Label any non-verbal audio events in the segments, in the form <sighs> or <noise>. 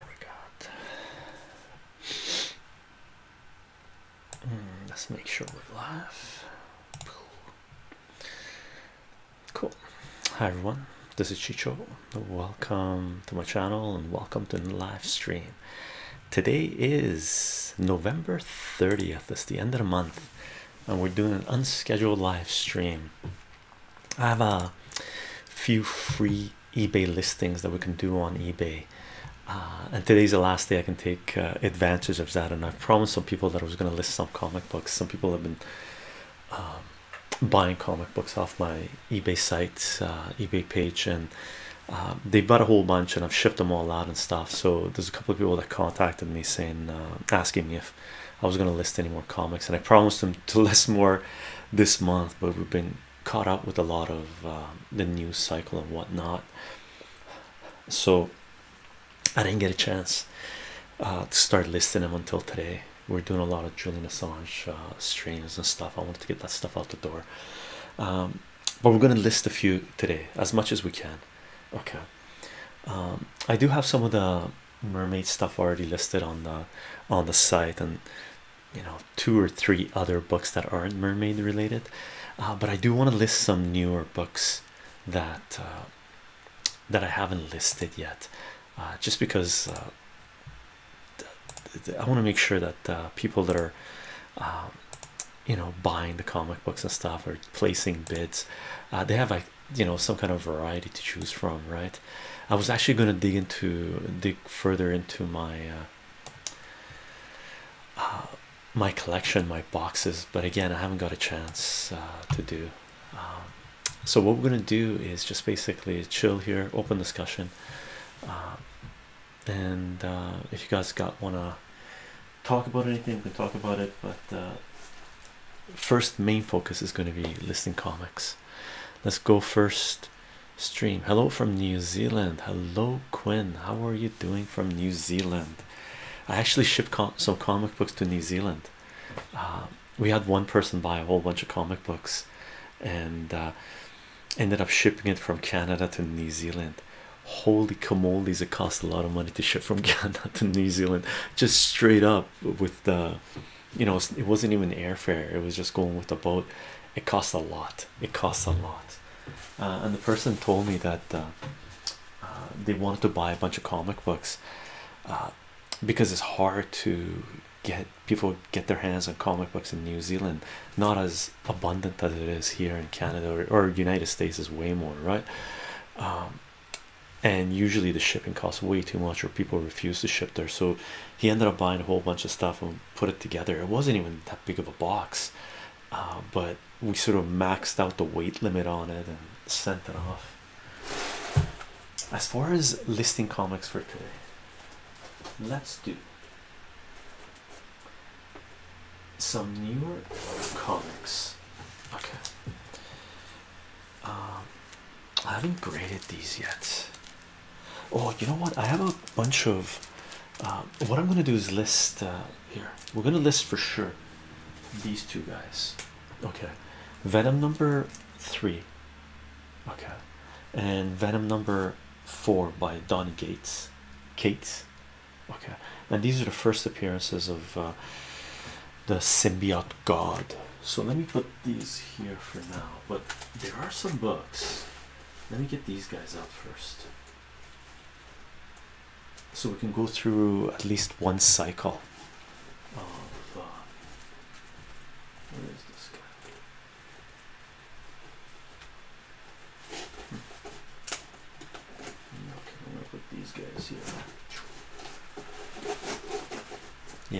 Hmm, let's make sure we're live. Cool. Hi everyone, this is Chicho. Welcome to my channel and welcome to the live stream. Today is November 30th, it's the end of the month, and we're doing an unscheduled live stream. I have a few free eBay listings that we can do on eBay. Uh, and today's the last day I can take uh, advantage of that. And I have promised some people that I was going to list some comic books. Some people have been um, buying comic books off my eBay site, uh, eBay page, and they bought a whole bunch, and I've shipped them all out and stuff. So there's a couple of people that contacted me saying, asking me if I was going to list any more comics, and I promised them to <laughs> list more this month. But we've been caught up with a lot of um, the news cycle and whatnot, so I didn't get a chance uh, to start listing them until today. We're doing a lot of Julie Massage uh, streams and stuff. I wanted to get that stuff out the door, um, but we're going to list a few today as much as we can. Okay, um, I do have some of the mermaid stuff already listed on the on the site and you know two or three other books that aren't mermaid related uh, but i do want to list some newer books that uh, that i haven't listed yet uh, just because I want to make sure that people that are, um, you know, buying the comic books and stuff or placing bids, they have like you know some kind of variety to choose from, right? I was actually going to dig into dig further into my uh, uh, my collection, my boxes, but again, I haven't got a chance uh, to do. Um, so what we're gonna do is just basically chill here, open discussion, and if you guys got wanna talk about anything, we can talk about it. But first, main focus is gonna be listing comics. Let's go first stream. Hello from New Zealand. Hello, Quinn. How are you doing from New Zealand? I actually shipped some comic books to New Zealand. Uh, we had one person buy a whole bunch of comic books and uh, ended up shipping it from Canada to New Zealand. Holy camolies, it cost a lot of money to ship from <laughs> Canada to New Zealand just straight up with the you know, it wasn't even airfare, it was just going with the boat. It cost a lot, it costs a lot uh, and the person told me that uh, uh, they wanted to buy a bunch of comic books because it's hard to get people get their hands on comic books in New Zealand not as abundant as it is here in Canada or, United States is way more right um, and usually the shipping costs way too much or people refuse to ship there so he ended up buying a whole bunch of stuff put it together. It wasn't even that big of a box, uh, but we sort of maxed out the weight limit on it and sent it off. As far as listing comics for today, let's do some newer comics. Okay. Um, I haven't graded these yet. Oh, you know what? I have a bunch of. Uh, what I'm going to do is list uh, here. We're going to list for sure these two guys. Okay, Venom number three. Okay, and Venom number four by Don Gates. Kate. Okay, now these are the first appearances of uh, the symbiote god. So let me put these here for now. But there are some books let me get these guys out first so we can go through at least one cycle oh, where is this guy? Hmm. I'm gonna put these guys here.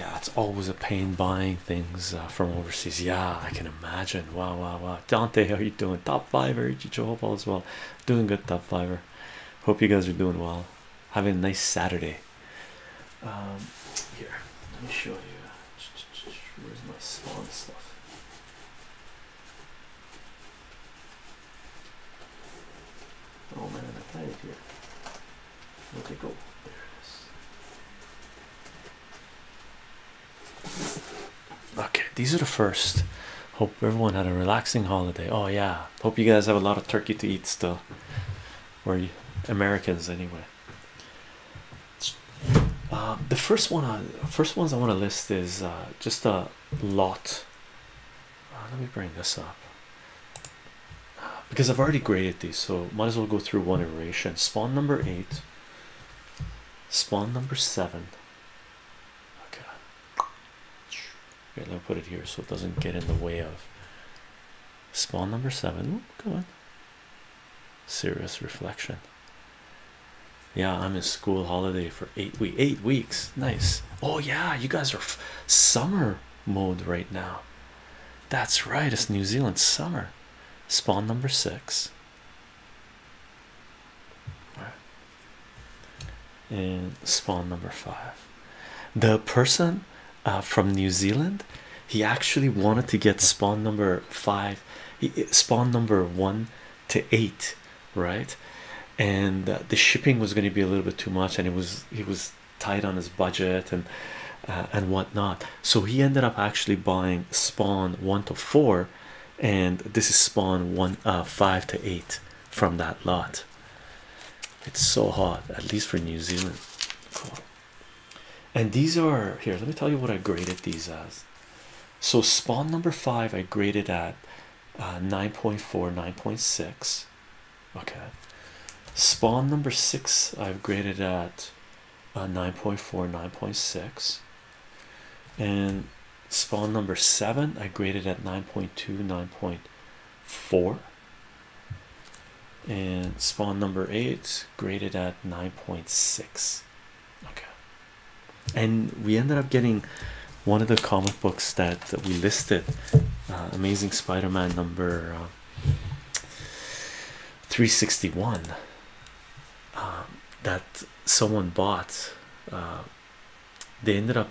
Yeah, it's always a pain buying things uh, from overseas. Yeah, I can imagine. Wow, wow, wow. Dante, how are you doing? Top fiver, Ichicho, hope all well. Doing good, top fiver. Hope you guys are doing well. Having a nice Saturday. Um, here, let me show you. Where's my spawn stuff? Oh man, I played it here. Where'd go? There it is. Okay, these are the first. Hope everyone had a relaxing holiday. Oh, yeah. Hope you guys have a lot of turkey to eat still. Or Americans, anyway. Uh, the first one, ones I want to list is uh, just a lot. Uh, let me bring this up because I've already graded these, so might as well go through one iteration. Spawn number eight. Spawn number seven. Okay. let me put it here so it doesn't get in the way of spawn number seven. Ooh, come on. Serious reflection. Yeah, I'm in school holiday for eight week eight weeks. Nice. Oh yeah, you guys are summer mode right now. That's right. It's New Zealand summer. Spawn number six and spawn number five the person uh, from New Zealand he actually wanted to get spawn number five spawn number one to eight right and uh, the shipping was going to be a little bit too much and it was he was tight on his budget and uh, and whatnot so he ended up actually buying spawn one to four and this is spawn one uh, five to eight from that lot it's so hot at least for new zealand cool. and these are here let me tell you what i graded these as so spawn number five i graded at uh 9.4 9.6 okay spawn number six i've graded at uh, 9.4 9.6 and spawn number seven I graded at 9.2 9.4 and spawn number eight graded at 9.6 okay and we ended up getting one of the comic books that, we listed uh, amazing spider-man number uh, 361 um, that someone bought uh, they ended up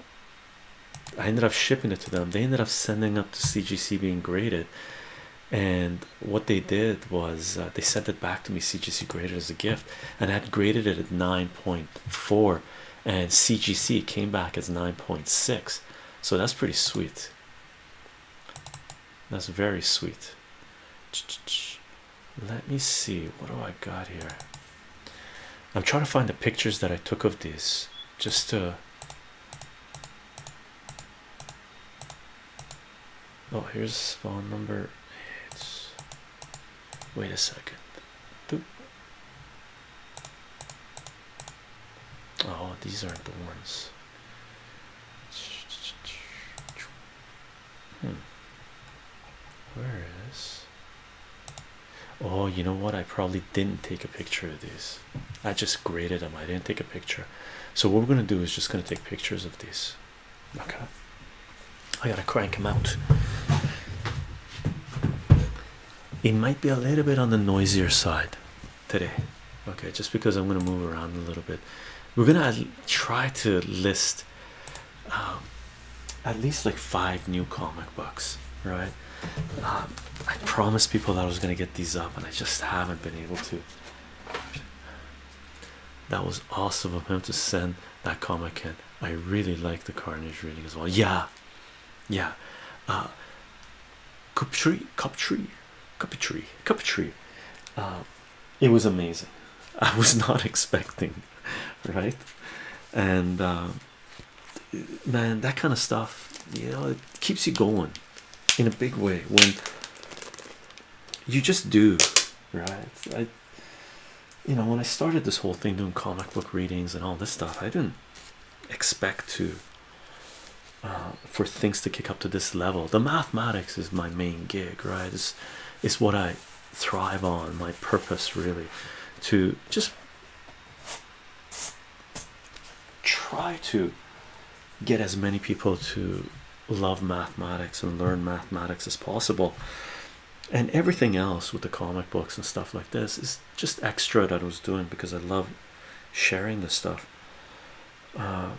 I ended up shipping it to them they ended up sending up to CGC being graded and what they did was uh, they sent it back to me CGC graded as a gift and I had graded it at 9.4 and CGC came back as 9.6 so that's pretty sweet that's very sweet let me see what do I got here. I'm trying to find the pictures that I took of this. just to. Oh, here's phone number. It's wait a second. Oh, these aren't the ones. Hmm. Where is? Oh, you know what? I probably didn't take a picture of this. I just graded them. I didn't take a picture. So what we're gonna do is just gonna take pictures of this. Okay. I gotta crank them out. It might be a little bit on the noisier side today. Okay, just because I'm gonna move around a little bit. We're gonna try to list um, at least like five new comic books right um, i promised people that i was going to get these up and i just haven't been able to that was awesome of him to send that comic in i really like the carnage reading as well yeah yeah uh cup tree cup tree cup tree cup tree uh, it was amazing. <laughs> I was not expecting, right? And um, man, that kind of stuff, you know, it keeps you going in a big way when you just do, right? I, you know, when I started this whole thing doing comic book readings and all this stuff, I didn't expect to uh, for things to kick up to this level. The mathematics is my main gig, right? it's what I thrive on. My purpose really to just try to get as many people to love mathematics and learn mathematics as possible and everything else with the comic books and stuff like this is just extra that I was doing because I love sharing the stuff uh,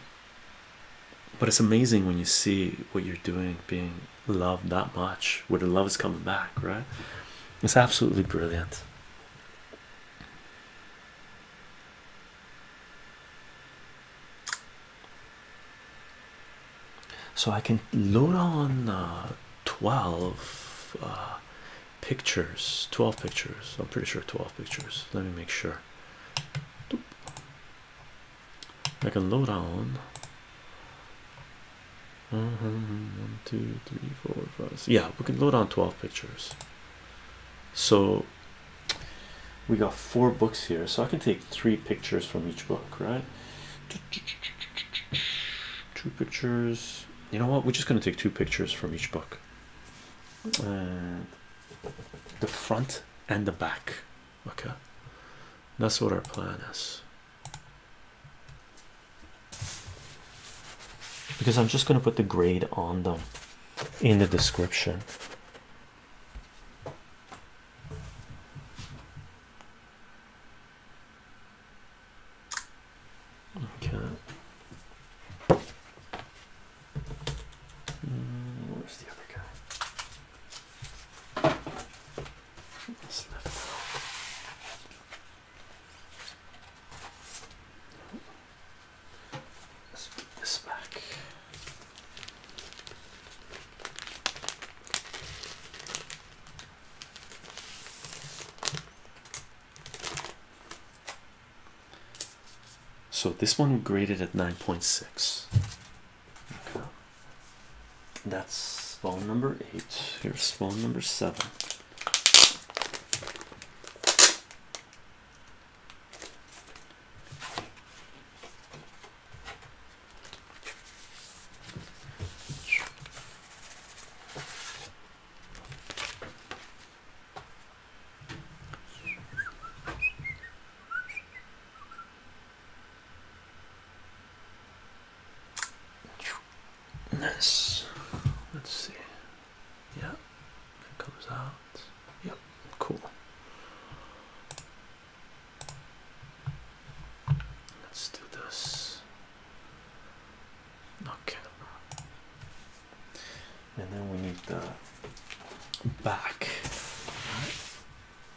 but it's amazing when you see what you're doing being loved that much, where the love is coming back, right? It's absolutely brilliant. So I can load on uh, 12 uh, pictures, 12 pictures. I'm pretty sure 12 pictures. Let me make sure. I can lowdown. Uh uh-huh, One, two, three, Yeah, we can load on 12 pictures. So we got four books here, so I can take three pictures from each book, right? Two pictures. You know what? We're just going to take two pictures from each book. And the front and the back okay that's what our plan is because i'm just going to put the grade on them in the description Okay. Hmm, where's the other guy? Let's put this back. So this one graded at nine point six. That's phone number eight. Here's phone number seven. Nice. Let's see. Yeah, it comes out. Yep, cool. Let's do this. Okay. And then we need the back.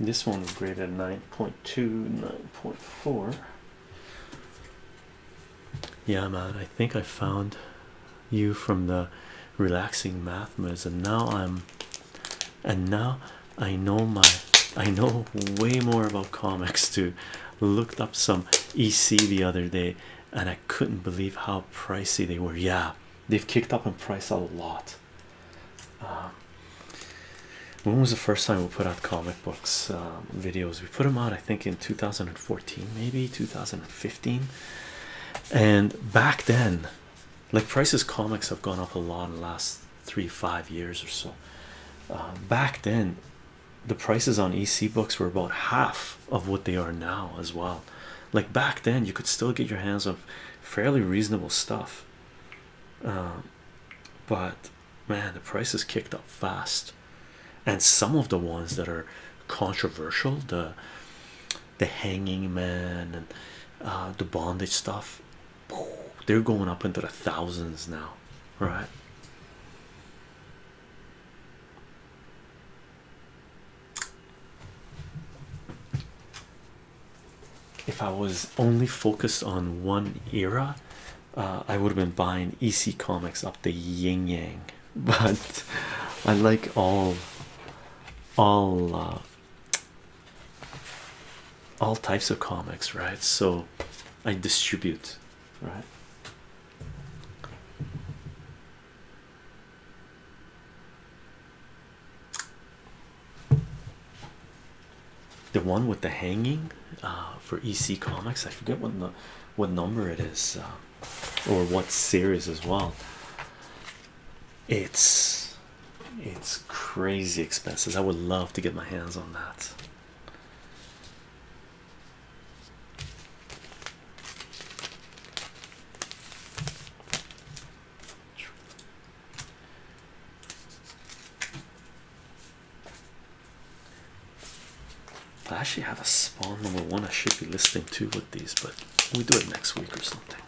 This one was graded 9.2, 9.4. Yeah, man, I think I found you from the relaxing math meds and now i'm and now i know my i know way more about comics too looked up some ec the other day and i couldn't believe how pricey they were yeah they've kicked up in price a lot um, when was the first time we put out comic books um, videos we put them out i think in 2014 maybe 2015 and back then like prices comics have gone up a lot in the last three five years or so um, back then the prices on ec books were about half of what they are now as well like back then you could still get your hands of fairly reasonable stuff um, but man the prices kicked up fast and some of the ones that are controversial the the hanging man and uh, the bondage stuff they're going up into the thousands now right if i was only focused on one era uh, i would have been buying ec comics up the Ying yang <laughs> but i like all all uh, all types of comics, right? So I distribute, right? The one with the hanging uh, for EC Comics, I forget what no what number it is uh, or what series as well. It's it's crazy expensive. I would love to get my hands on that. I actually have a spawn number one. I should be listing too with these, but we do it next week or something.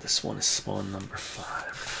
This one is spawn number five.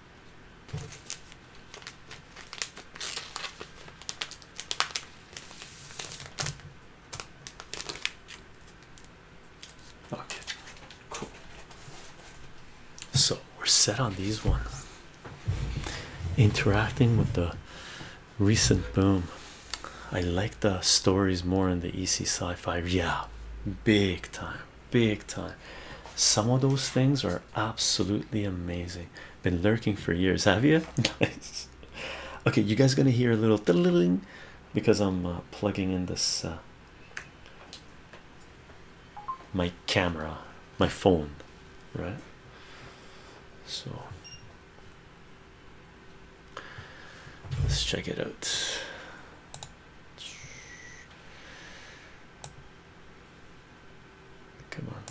Okay, cool. So we're set on these ones. Interacting with the recent boom. I like the stories more in the EC sci fi. Yeah, big time, big time. Some of those things are absolutely amazing. Been lurking for years, have you? nice. <laughs> Okay, you guys gonna hear a little tiddling because I'm uh, plugging in this uh, my camera, my phone, right? So let's check it out. Come on.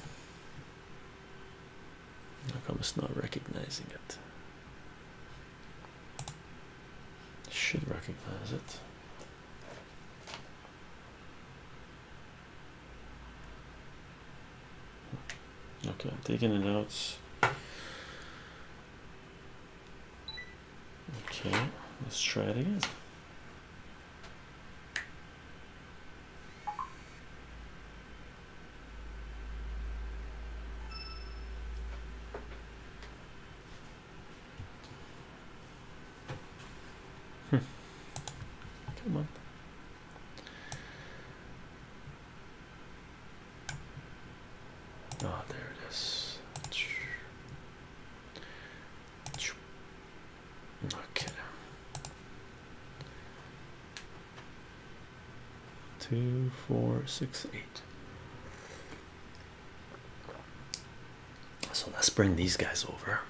How come it's not recognizing it? Should recognize it. Okay, I'm taking the notes. Okay, let's try it again. Come on. Ah, there it is. Okay. Two, four, six, eight. So let's bring these guys over.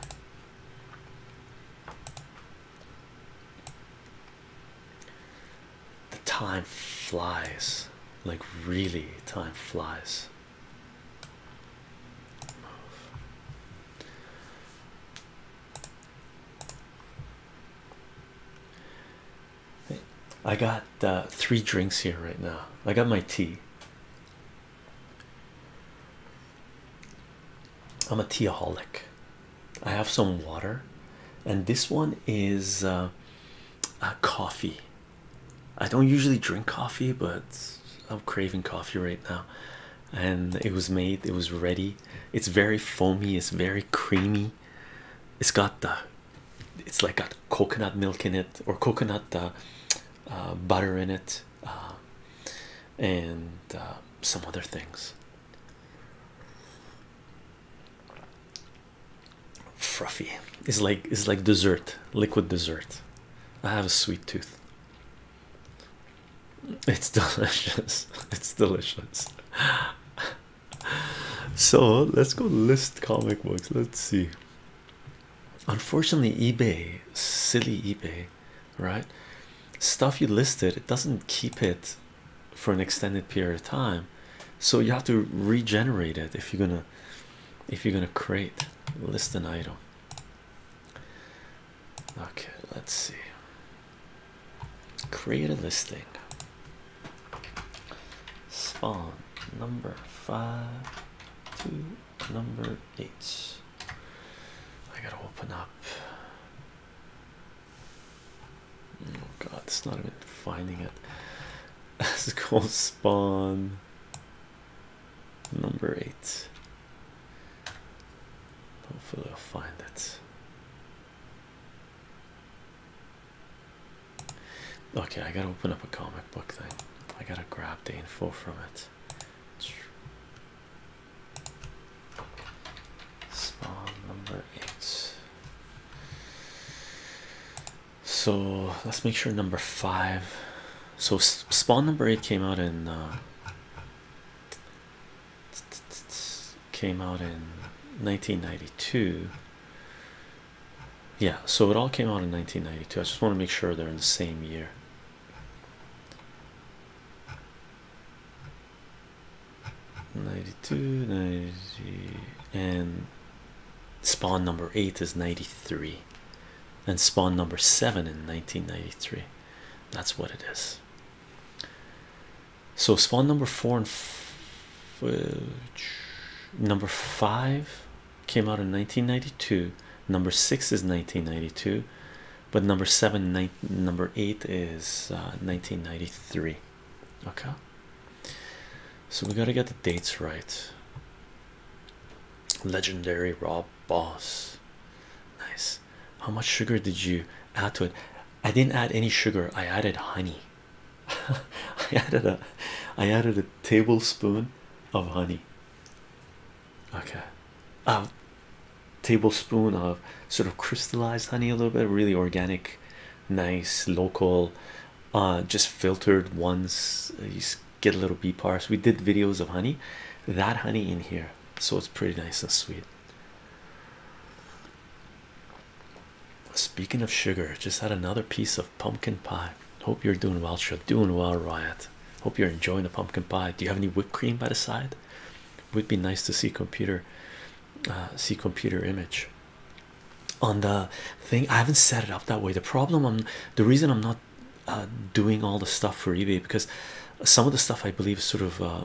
The time flies, like really, time flies. Move. I got uh, three drinks here right now. I got my tea. I'm a teaholic. I have some water, and this one is a uh, uh, coffee. I don't usually drink coffee, but I'm craving coffee right now and it was made it was ready it's very foamy it's very creamy it's got the it's like got coconut milk in it or coconut uh, uh, butter in it uh, and some other things fruffy it's like it's like dessert liquid dessert i have a sweet tooth it's <laughs> delicious. It's delicious. So let's go list comic books. Let's see. Unfortunately, eBay, silly eBay, right? Stuff you listed, it doesn't keep it for an extended period of time. So you have to regenerate it if you're gonna if you're gonna create list an item. Okay, let's see. Create a listing. Spawn number five two, number eight. I gotta open up. Oh god, it's not even finding it. <laughs> It's called spawn number eight. Hopefully, I'll find it. Okay, I gotta open up a comic book thing. I gotta grab the info from it. Spawn number eight. So let's make sure number five. So spawn number eight came out in uh, came out in 1992 yeah so it all came out in 1992 i just want to make sure they're in the same year Ninety-two, ninety, and spawn number eight is ninety-three, and spawn number seven in nineteen ninety-three. That's what it is. So spawn number four and uh, number five came out in 1992. Number six is 1992, but number seven, number eight is 1993. Uh, okay, so we got to get the dates right. Legendary Rob Boss, nice how much sugar did you add to it i didn't add any sugar i added honey <laughs> i added a i added a tablespoon of honey okay a um, tablespoon of sort of crystallized honey a little bit really organic nice local uh, just filtered ones uh, you get a little bee parts we did videos of honey that honey in here so it's pretty nice and sweet Speaking of sugar, just had another piece of pumpkin pie. Hope you're doing well, Chuck. Doing well, Riot. Hope you're enjoying the pumpkin pie. Do you have any whipped cream by the side? Would be nice to see computer, uh, see computer image on the thing. I haven't set it up that way. The problem, I'm the reason I'm not uh, doing all the stuff for eBay because some of the stuff I believe sort of uh,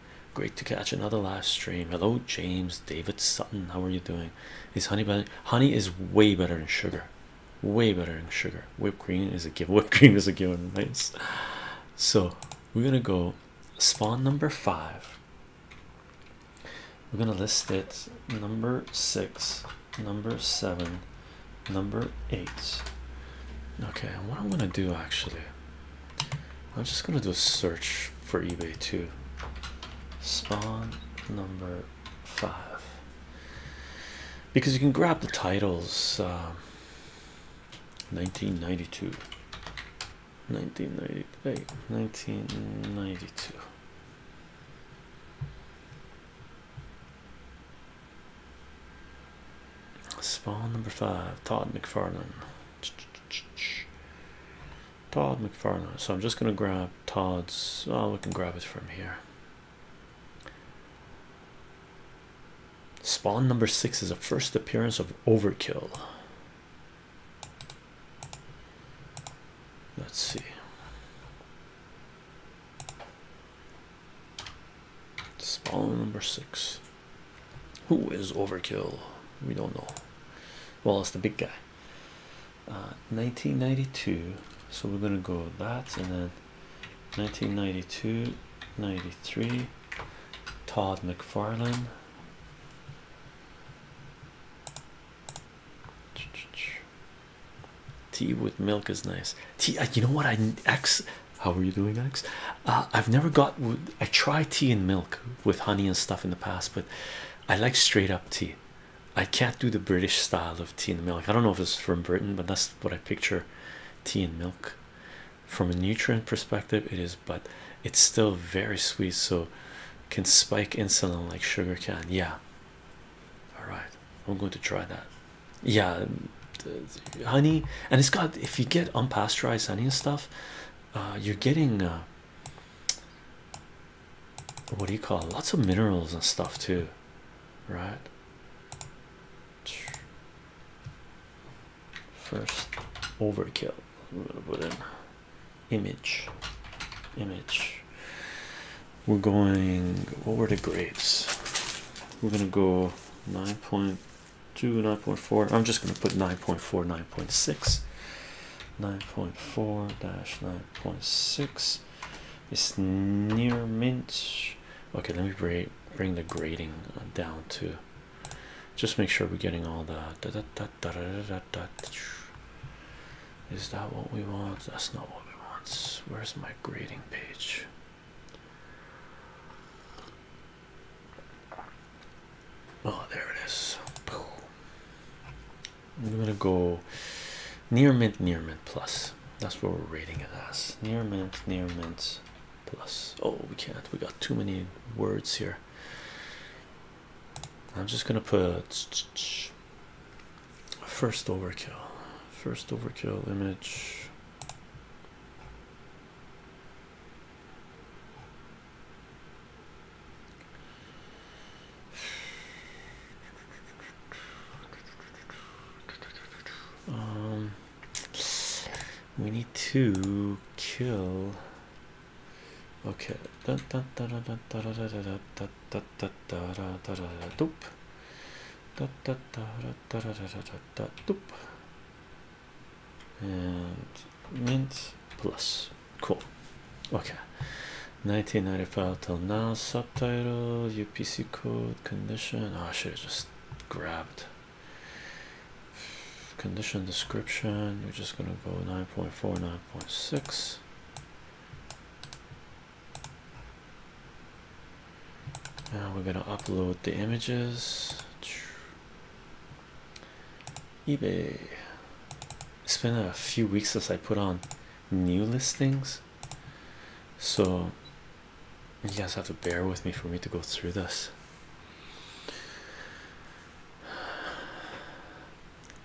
Great to catch another live stream. Hello, James David Sutton. How are you doing? Is honey better? Honey is way better than sugar, way better than sugar. Whipped cream is a given, <laughs> whipped cream is a given, nice. So, we're gonna go spawn number five, we're gonna list it number six, number seven, number eight. Okay, what I'm gonna do actually. I'm just gonna do a search for eBay too. Spawn number five, because you can grab the titles. 1992, um, 1998, 1992. Spawn number five, Todd McFarlane. Todd McFarlane. So I'm just going to grab Todd's. Oh, we can grab it from here. Spawn number six is a first appearance of Overkill. Let's see. Spawn number six. Who is Overkill? We don't know. Well, it's the big guy. 1992. Uh, so we're gonna go that, and then 1992, 93. Todd McFarlane. Tea with milk is nice. Tea, uh, you know what? I X. How are you doing, X? Uh, I've never got I try tea and milk with honey and stuff in the past, but I like straight up tea. I can't do the British style of tea and milk. I don't know if it's from Britain, but that's what I picture tea and milk. From a nutrient perspective, it is, but it's still very sweet, so can spike insulin like sugar can. Yeah. All right, I'm going to try that. Yeah, honey, and it's got if you get unpasteurized honey and stuff, uh, you're getting uh, what do you call it? lots of minerals and stuff too, right? First overkill. We're gonna put in image, image. We're going. What were the grades? We're gonna go nine point two, nine point four. I'm just gonna put nine point four, nine point six. 9.4 dash 9.6 is near mint. Okay, let me bring bring the grading uh, down to just make sure we're getting all the. Is that what we want? That's not what we want. Where's my grading page? Oh, there it is. I'm gonna go near mint, near mint plus. That's what we're rating it as. Near mint, near mint plus. Oh, we can't. We got too many words here. I'm just gonna put first overkill. First overkill image. Um, we need to kill. Okay. And mint plus cool okay 1995 till now subtitle upc code condition oh, i should have just grabbed condition description we're just gonna go 9.4 9.6 now we're gonna upload the images eBay. It's been a few weeks since I put on new listings, so you guys have to bear with me for me to go through this.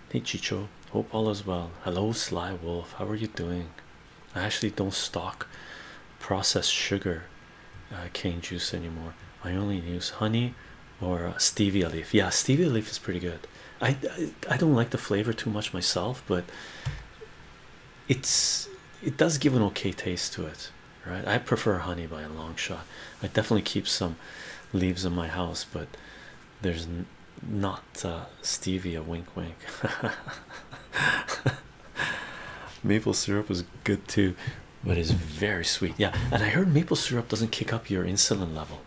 Hey Chicho, hope all is well. Hello, Sly Wolf. How are you doing? I actually don't stock processed sugar uh, cane juice anymore. I only use honey or uh, stevia leaf. Yeah, stevia leaf is pretty good. I, I don't like the flavor too much myself, but it's it does give an okay taste to it, right? I prefer honey by a long shot. I definitely keep some leaves in my house, but there's not uh, stevia. Wink, wink. <laughs> maple syrup is good too, but it's very sweet. Yeah, and I heard maple syrup doesn't kick up your insulin level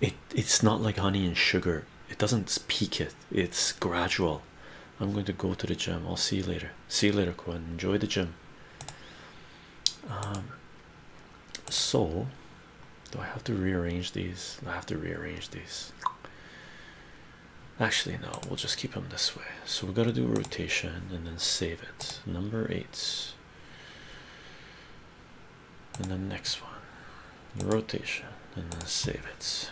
it it's not like honey and sugar it doesn't peak it it's gradual i'm going to go to the gym i'll see you later see you later Quinn. enjoy the gym um so do i have to rearrange these i have to rearrange these actually no we'll just keep them this way so we got to do rotation and then save it number eight and the next one rotation and then save it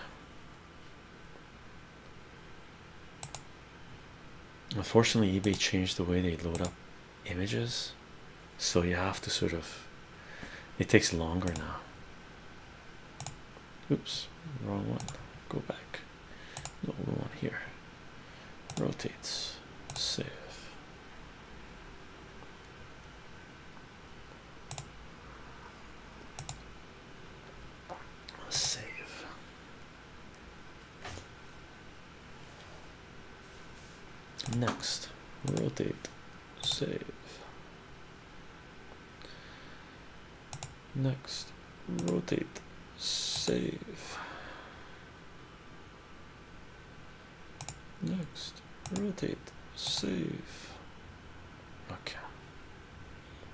unfortunately ebay changed the way they load up images so you have to sort of it takes longer now oops wrong one go back no we want here rotates save Save. Next, rotate, save. Next, rotate, save. Next, rotate, save. Okay.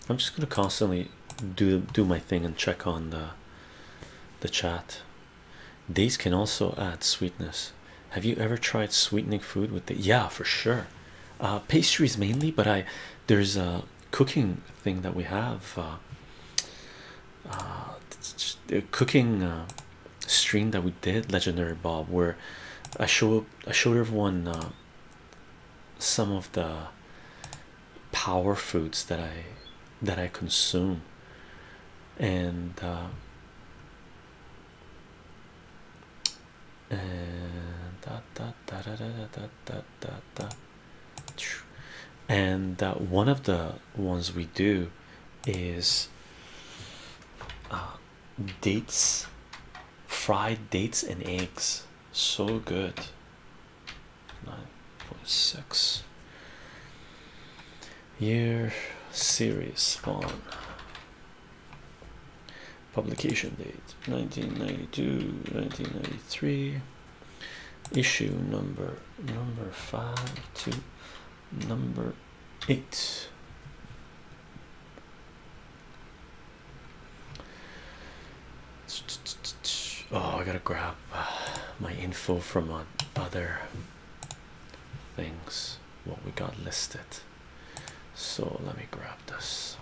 I'm just gonna constantly do do my thing and check on the the chat. These can also add sweetness. Have you ever tried sweetening food with it? yeah for sure? Uh, pastries mainly, but I there's a cooking thing that we have uh, uh, the cooking uh, stream that we did, legendary Bob, where I show I showed everyone uh, some of the power foods that I that I consume, and and da, da, da, da, da, da, da, da, and one of the ones we do is uh, dates, fried dates and eggs. So good. Nine point six. Year series spawn. Publication date 1992 1993 issue number number five two number eight. Oh, I gotta grab uh, my info from uh, other things. What we got listed. So let me grab this.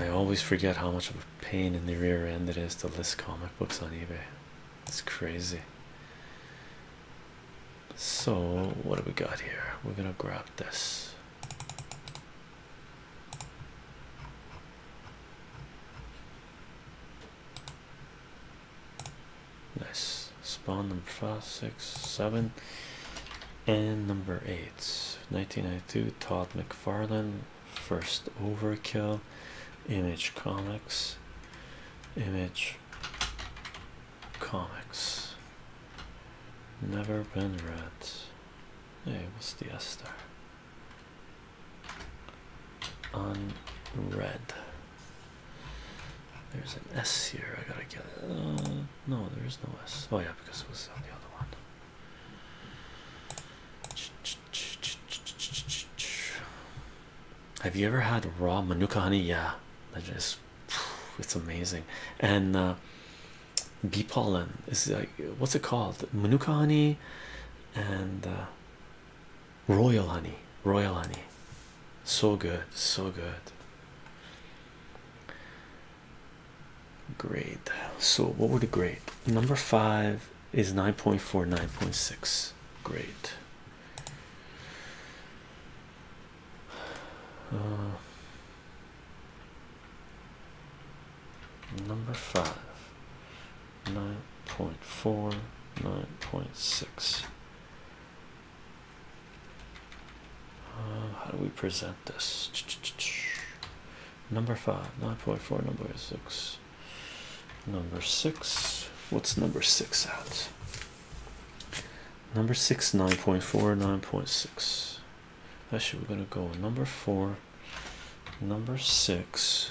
I always forget how much of a pain in the rear end it is to list comic books on eBay. It's crazy. So, what do we got here? We're gonna grab this. Nice spawn number five, six, seven, and number eight. 1992 Todd McFarlane, first overkill, image comics, image comics. Never been read. Hey, what's the S Unread. There's an S here. I gotta get it. Uh, no, there is no S. Oh, yeah, because it was on the other one. Have you ever had raw manuka honey? Yeah, that is, it's amazing. And uh, bee pollen is like what's it called? Manuka honey and uh, royal honey royal honey so good so good Great. so what were the great? number five is nine point four, nine point six. Great. Uh, number five Nine point four, nine point six. Uh, how do we present this? Number five, nine point four. Number six. Number six. What's number six at? Number six, nine point four, nine point six. Actually, we're gonna go number four, number six,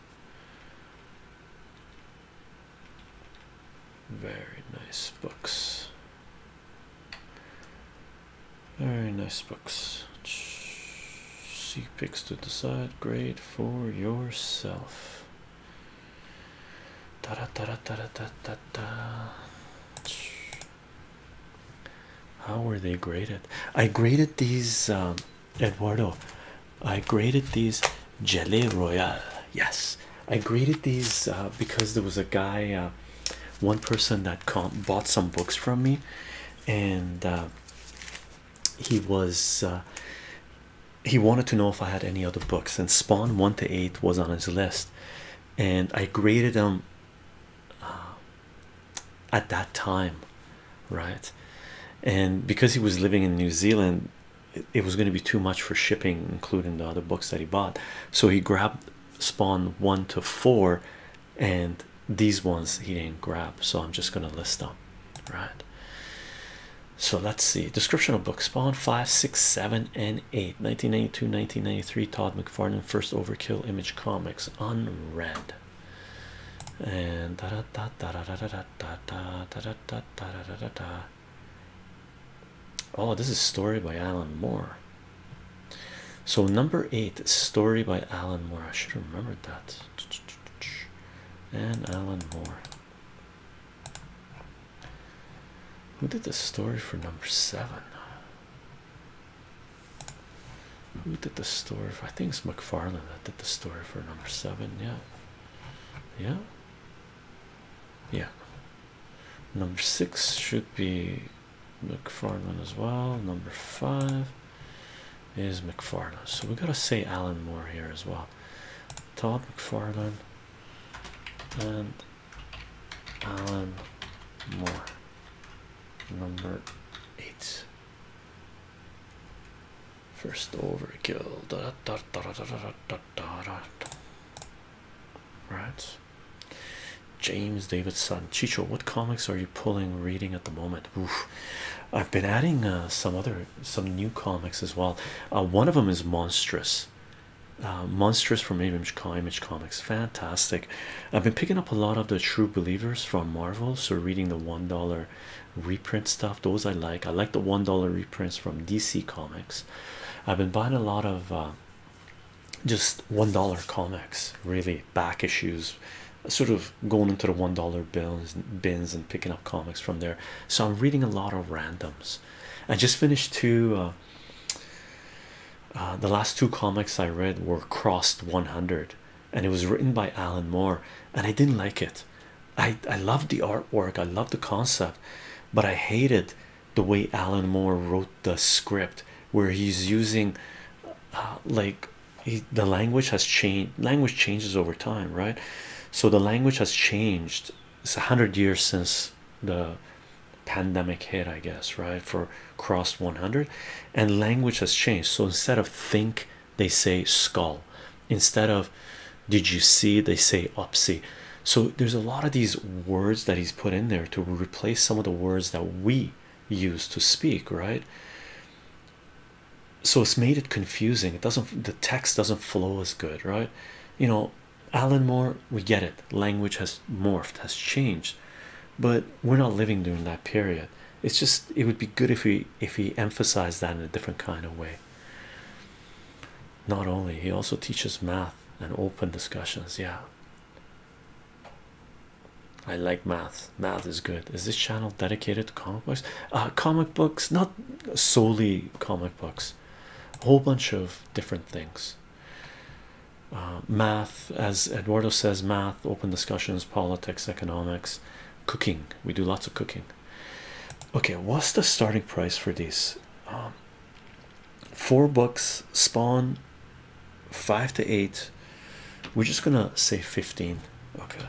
Very nice books. Very nice books. See picks to decide grade for yourself. Da da da da da da da da. How were they graded? I graded these. Um, Eduardo, I graded these Jelly Royal. Yes, I graded these uh, because there was a guy, uh, one person that bought some books from me, and uh, he was he wanted to know if I had any other books, and Spawn one to eight was on his list, and I graded them at that time right? And because he was living in New Zealand, it, was going to be too much for shipping, including the other books that he bought. So he grabbed Spawn one to four, and these ones he didn't grab. So I'm just going to list them, right? So let's see. Description of book Spawn 5, 6, 7, and 8. 1992, 1993. Todd McFarlane, first overkill image comics. Unread. And da da da da da da da Oh, this is story by Alan Moore. So number eight, story by Alan Moore. I should have remembered that. And Alan Moore. Who did the story for number seven? Who did the story? For, I think it's McFarlane that did the story for number seven. Yeah yeah yeah number six should be mcfarland as well number five is mcfarland so we have gotta say alan moore here as well todd mcfarland and alan moore number eight First overkill. Da, da, Right. James Davidson. Chicho, what comics are you pulling reading at the moment? I've been adding uh, some other some new comics as well. Uh, one of them is Monstrous. Uh, Monstrous from Image, Image Comics. Fantastic. I've been picking up a lot of the True Believers from Marvel. So reading the $1 reprint stuff those i like i like the one dollar reprints from dc comics i've been buying a lot of uh, just one dollar comics really back issues sort of going into the one dollar bins and picking up comics from there so i'm reading a lot of randoms i just finished two uh, uh, the last two comics i read were crossed 100 and it was written by alan moore and i didn't like it I I loved the artwork, I love the concept, but I hated the way Alan Moore wrote the script, where he's using uh, like the language has changed. Language changes over time, right? So the language has changed. It's a hundred years since the pandemic hit, I guess, right? For crossed 100, and language has changed. So instead of think they say skull instead of did you see they say upsy so there's a lot of these words that he's put in there to replace some of the words that we use to speak right so it's made it confusing it doesn't the text doesn't flow as good right you know alan moore we get it language has morphed has changed but we're not living during that period it's just it would be good if he if he emphasized that in a different kind of way not only he also teaches math and open discussions. Yeah, I like math. Math is good. Is this channel dedicated to comic books? Uh, comic books, not solely comic books, a whole bunch of different things. Uh, math, as Eduardo says, math, open discussions, politics, economics, cooking. We do lots of cooking. Okay, what's the starting price for these? Um, four bucks, spawn five to eight. We're just gonna say 15. Okay,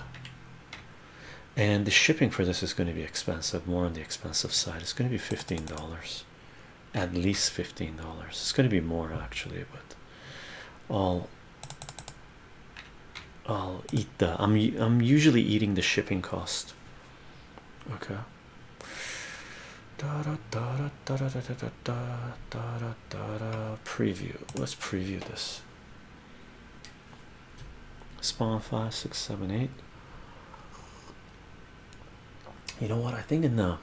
and the shipping for this is going to be expensive, more on the expensive side. It's going to be $15, at least $15. It's going to be more actually, but all. I'll eat the I'm I'm usually eating the shipping cost. Okay. Da da da da da da da da da da da da preview. Let's preview this. Spawn five six seven eight. You know what? I think in the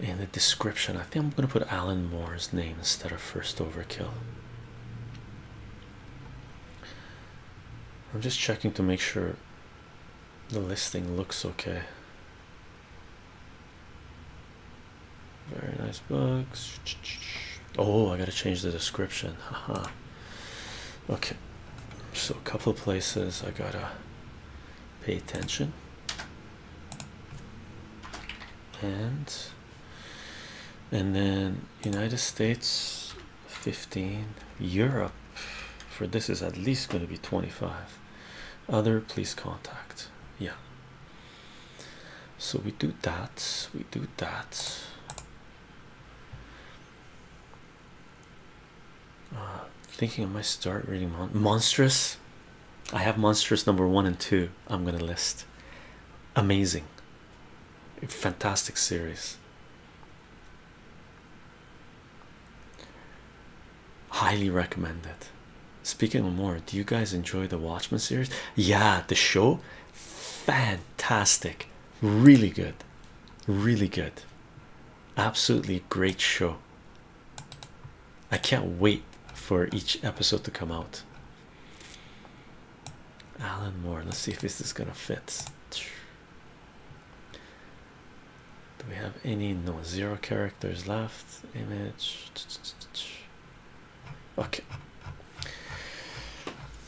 in the description, I think I'm gonna put Alan Moore's name instead of first overkill. I'm just checking to make sure the listing looks okay. Very nice books. Oh, I gotta change the description. Haha. okay, so a couple of places I gotta pay attention and and then United States 15 Europe for this is at least going to be 25 other please contact yeah so we do that we do that uh, thinking I might start reading monstrous I have monstrous number one and two I'm gonna list amazing fantastic series highly recommended speaking of more do you guys enjoy the watchmen series yeah the show fantastic really good really good absolutely great show i can't wait for each episode to come out Alan Moore. Let's see if this is gonna fit. Do we have any? No, zero characters left. Image. Okay.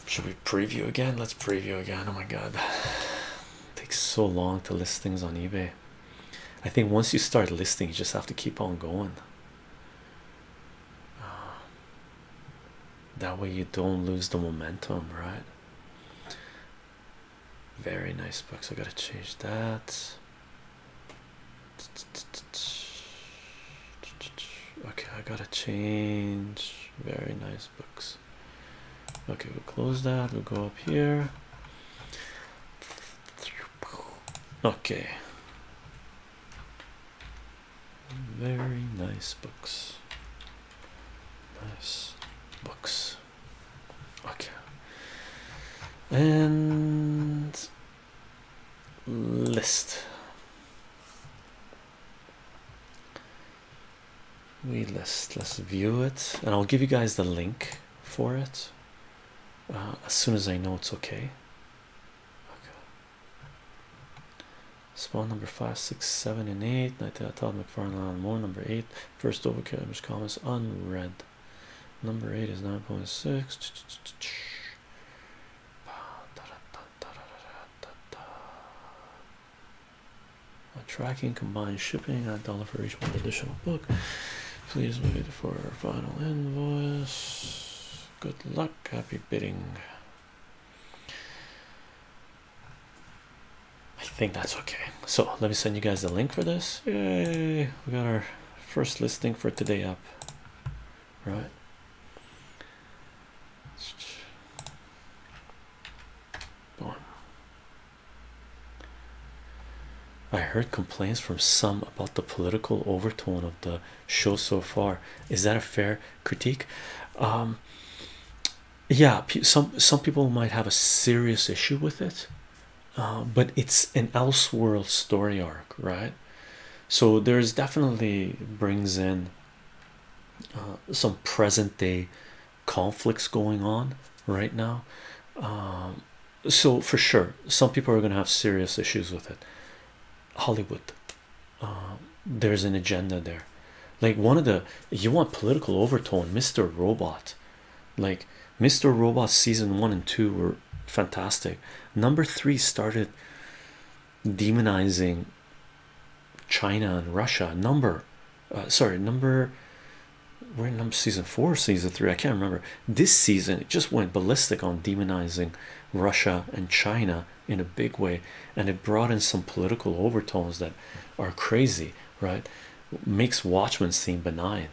Should we preview again? Let's preview again. Oh my god, it takes so long to list things on eBay. I think once you start listing, you just have to keep on going. <sighs> that way you don't lose the momentum, right? Very nice books. I gotta change that. Okay, I gotta change. Very nice books. Okay, we'll close that. We'll go up here. Okay, very nice books. Nice books. Okay. And list. We list. Let's view it, and I'll give you guys the link for it uh, as soon as I know it's okay. Okay. Spawn number five, six, seven, and eight. I thought McFarland on more number eight. First overkill image comments unread. Number eight is 9.6. Tracking combined shipping at dollar for each one additional book. Please wait for our final invoice. Good luck. Happy bidding. I think that's okay. So let me send you guys the link for this. Yay! We got our first listing for today up. Right. I heard complaints from some about the political overtone of the show so far. Is that a fair critique? Um, yeah, some some people might have a serious issue with it, um, but it's an elseworld story arc, right? So there's definitely brings in uh, some present day conflicts going on right now. Um, so for sure, some people are going to have serious issues with it. Hollywood um, there's an agenda there like one of the you want political overtone mr robot like mr robot season one and two were fantastic number three started demonizing china and russia number uh, sorry number we're in number season four season three i can't remember this season it just went ballistic on demonizing russia and china in a big way and it brought in some political overtones that are crazy right makes watchmen seem benign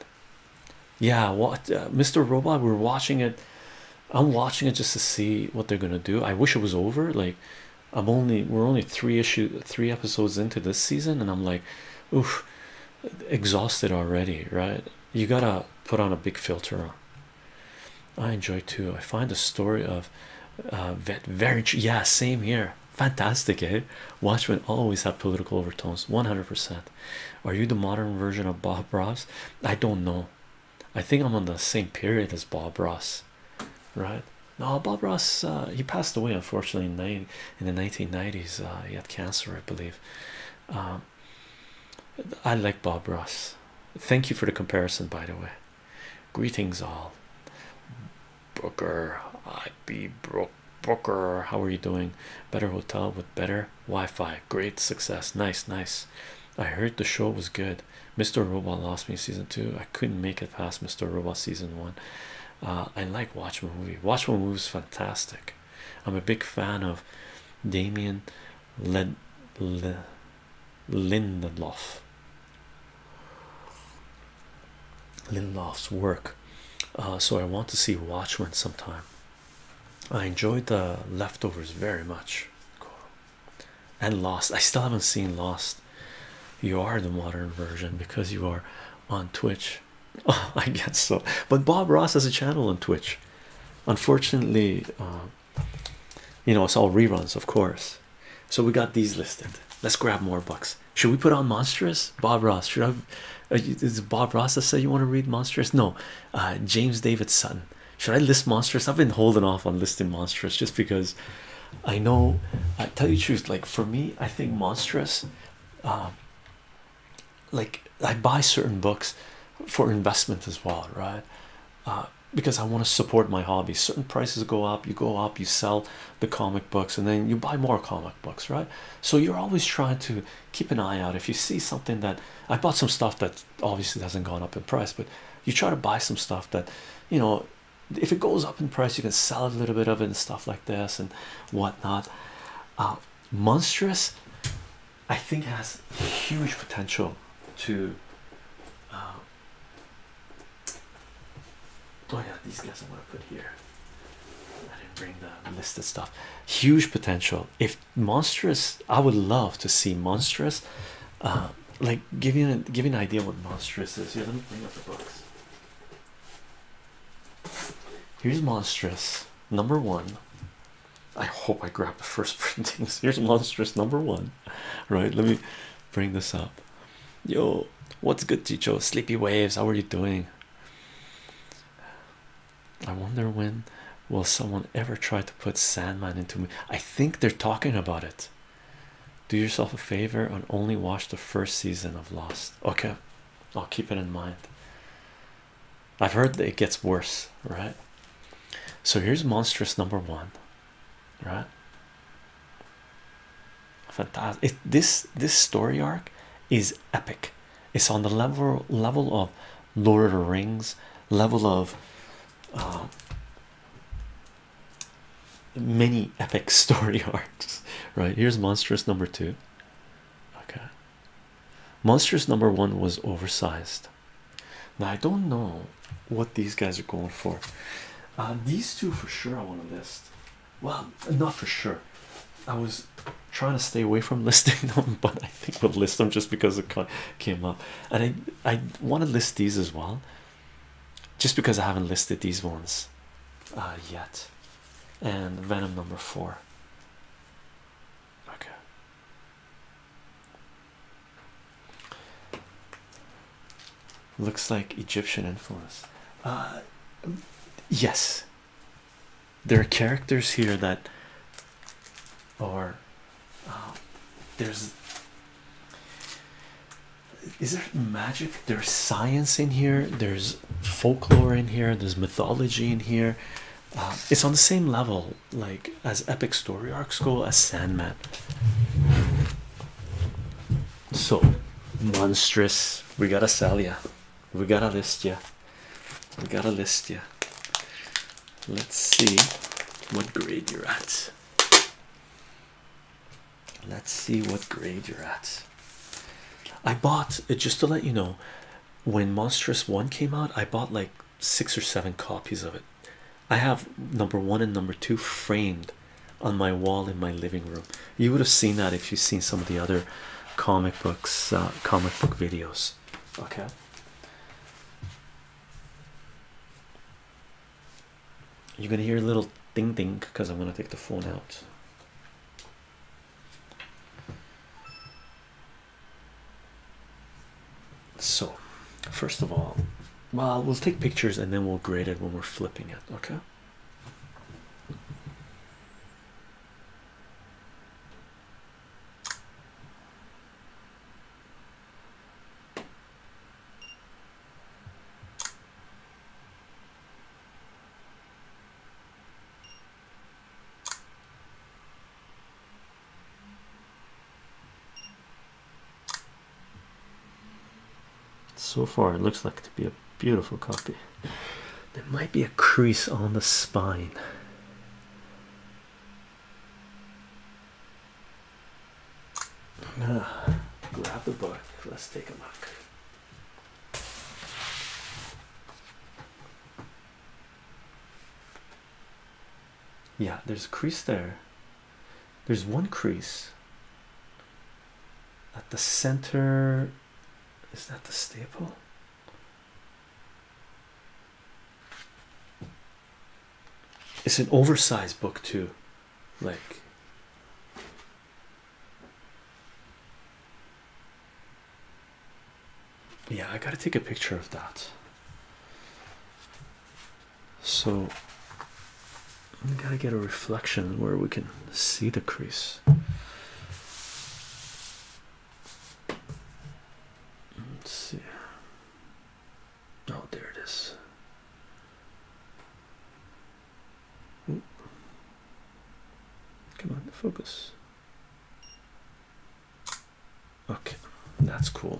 yeah what uh, mr robot we're watching it i'm watching it just to see what they're gonna do i wish it was over like i'm only we're only three issue three episodes into this season and i'm like oof exhausted already right you gotta put on a big filter I enjoy too. I find the story of uh, very yeah, same here. Fantastic, eh? Watchmen always have political overtones, 100%. Are you the modern version of Bob Ross? I don't know. I think I'm on the same period as Bob Ross, right? No, Bob Ross, uh, he passed away unfortunately in, in the 1990s. Uh, he had cancer, I believe. Um, I like Bob Ross. Thank you for the comparison, by the way. Greetings, all. Booker, I be Brook Booker. How are you doing? Better hotel with better Wi-Fi. Great success. Nice, nice. I heard the show was good. Mr. Robot lost me season two. I couldn't make it past Mr. Robot season one. Uh, I like Watchmen movie. Watchmen movie is fantastic. I'm a big fan of Damien Led. Lindelof. Lindelof's work. Uh, so I want to see Watchmen sometime. I enjoyed the leftovers very much. And Lost. I still haven't seen Lost. You are the modern version because you are on Twitch. <laughs> I guess so. But Bob Ross has a channel on Twitch. Unfortunately, uh, you know it's all reruns of course so we got these listed let's grab more books should we put on monstrous bob ross should i uh, is bob ross say you want to read monstrous no uh, james david sutton should i list monstrous i've been holding off on listing monstrous just because i know i tell you truth like for me i think monstrous uh, like i buy certain books for investment as well right because I want to support my hobby. Certain prices go up, you go up, you sell the comic books, and then you buy more comic books, right? So you're always trying to keep an eye out. If you see something that I bought some stuff that obviously hasn't gone up in price, but you try to buy some stuff that you know if it goes up in price, you can sell a little bit of it and stuff like this and whatnot. Uh, Monstrous, I think, has huge potential to. Uh, Oh uh, yeah, these guys I want to put here. I didn't bring the list of stuff. Huge potential. If monstrous, I would love to see monstrous. Uh, like giving an giving an idea what monstrous is. Here, let me bring up the books. Here's monstrous number one. I hope I grabbed the first <laughs> printings. Here's monstrous number one. <laughs> right let me bring this up yo what's good teacher sleepy waves how are you doing i wonder when will someone ever try to put sandman into me i think they're talking about it do yourself a favor and only watch the first season of lost okay i'll keep it in mind i've heard that it gets worse right so here's monstrous number one right? Fantastic! this this story arc is epic. It's on the level level of Lord of the Rings, level of uh, many epic <laughs> story arcs. Right here's monstrous number two. Okay, monstrous number one was oversized. Now I don't know what these guys are going for. Uh, these two for sure I want to list. Well, not for sure. I was trying to stay away from <laughs> listing them, but I think we'll list them just because it came up. And I I want to list these as well, just because I haven't listed these ones uh, yet. And Venom number four. Okay. Looks like Egyptian influence. Uh, yes, there are characters here that or um, there's. Is there magic? There's science in here. There's folklore in here. There's mythology in here. Um, it's on the same level like as epic story arc school as Sandman. So monstrous. We got a sell ya. We got a list ya. We got a list ya. Let's see what grade you're at. Let's see what grade you're at. I bought it uh, just to let you know when Monstrous One came out, I bought like six or seven copies of it. I have number one and number two framed on my wall in my living room. You would have seen that if you've seen some of the other comic books, uh, comic book videos. Okay. You're gonna hear a little ding ding because I'm gonna take the phone out. So, first of all, well, we'll take pictures and then we'll grade it when we're flipping it, okay? So far, it looks like to be a beautiful copy. There might be a crease on the spine. Ah, grab the book. Let's take a look yeah there's a crease there there's one crease at the center is that the staple it's an oversized book too like yeah i gotta take a picture of that so we gotta get a reflection where we can see the crease. Let's see. Oh, there it is. Come on, focus. Okay, that's cool.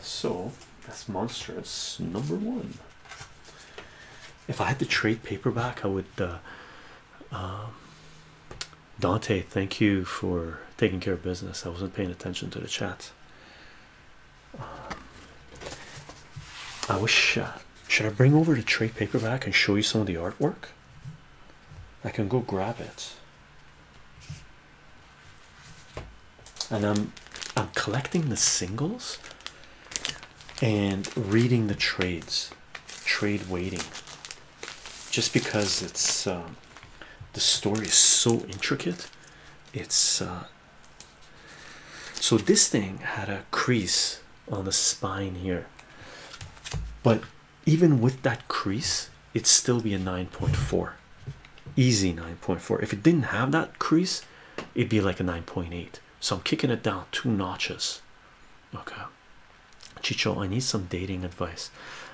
so that's monstrous number one. If I had to trade paperback, I would uh, um, Dante, thank you for taking care of business. I wasn't paying attention to the chat. Um, I wish. Uh, should I bring over the trade paperback and show you some of the artwork? I can go grab it. And I'm I'm collecting the singles and reading the trades, trade waiting just because it's um, the story is so intricate it's uh, so this thing had a crease on the spine here but even with that crease it'd still be a 9.4 easy 9.4 if it didn't have that crease it'd be like a 9.8 so i'm kicking it down two notches okay Chicho, I need some dating advice.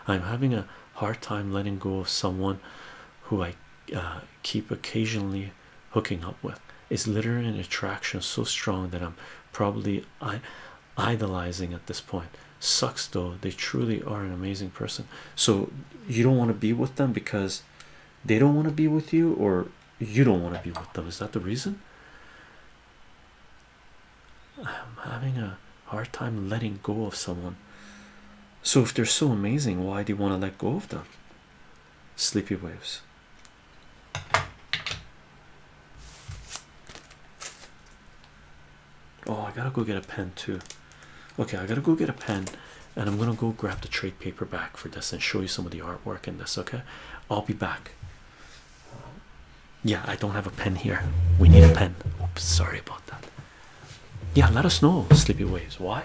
I'm having a hard time letting go of someone who I uh, keep occasionally hooking up with. Is literally an attraction so strong that I'm probably idolizing at this point. Sucks though, they truly are an amazing person. So, you don't want to be with them because they don't want to be with you, or you don't want to be with them. Is that the reason? I'm having a hard time letting go of someone. So, if they're so amazing, why do you want to let go of them? Sleepy waves. Oh, I gotta go get a pen too. Okay, I gotta go get a pen and I'm gonna go grab the trade paper back for this and show you some of the artwork in this. Okay, I'll be back yeah, I don't have a pen here. We need a pen. Oops, sorry about that. Yeah, let us know, Sleepy Waves. Why?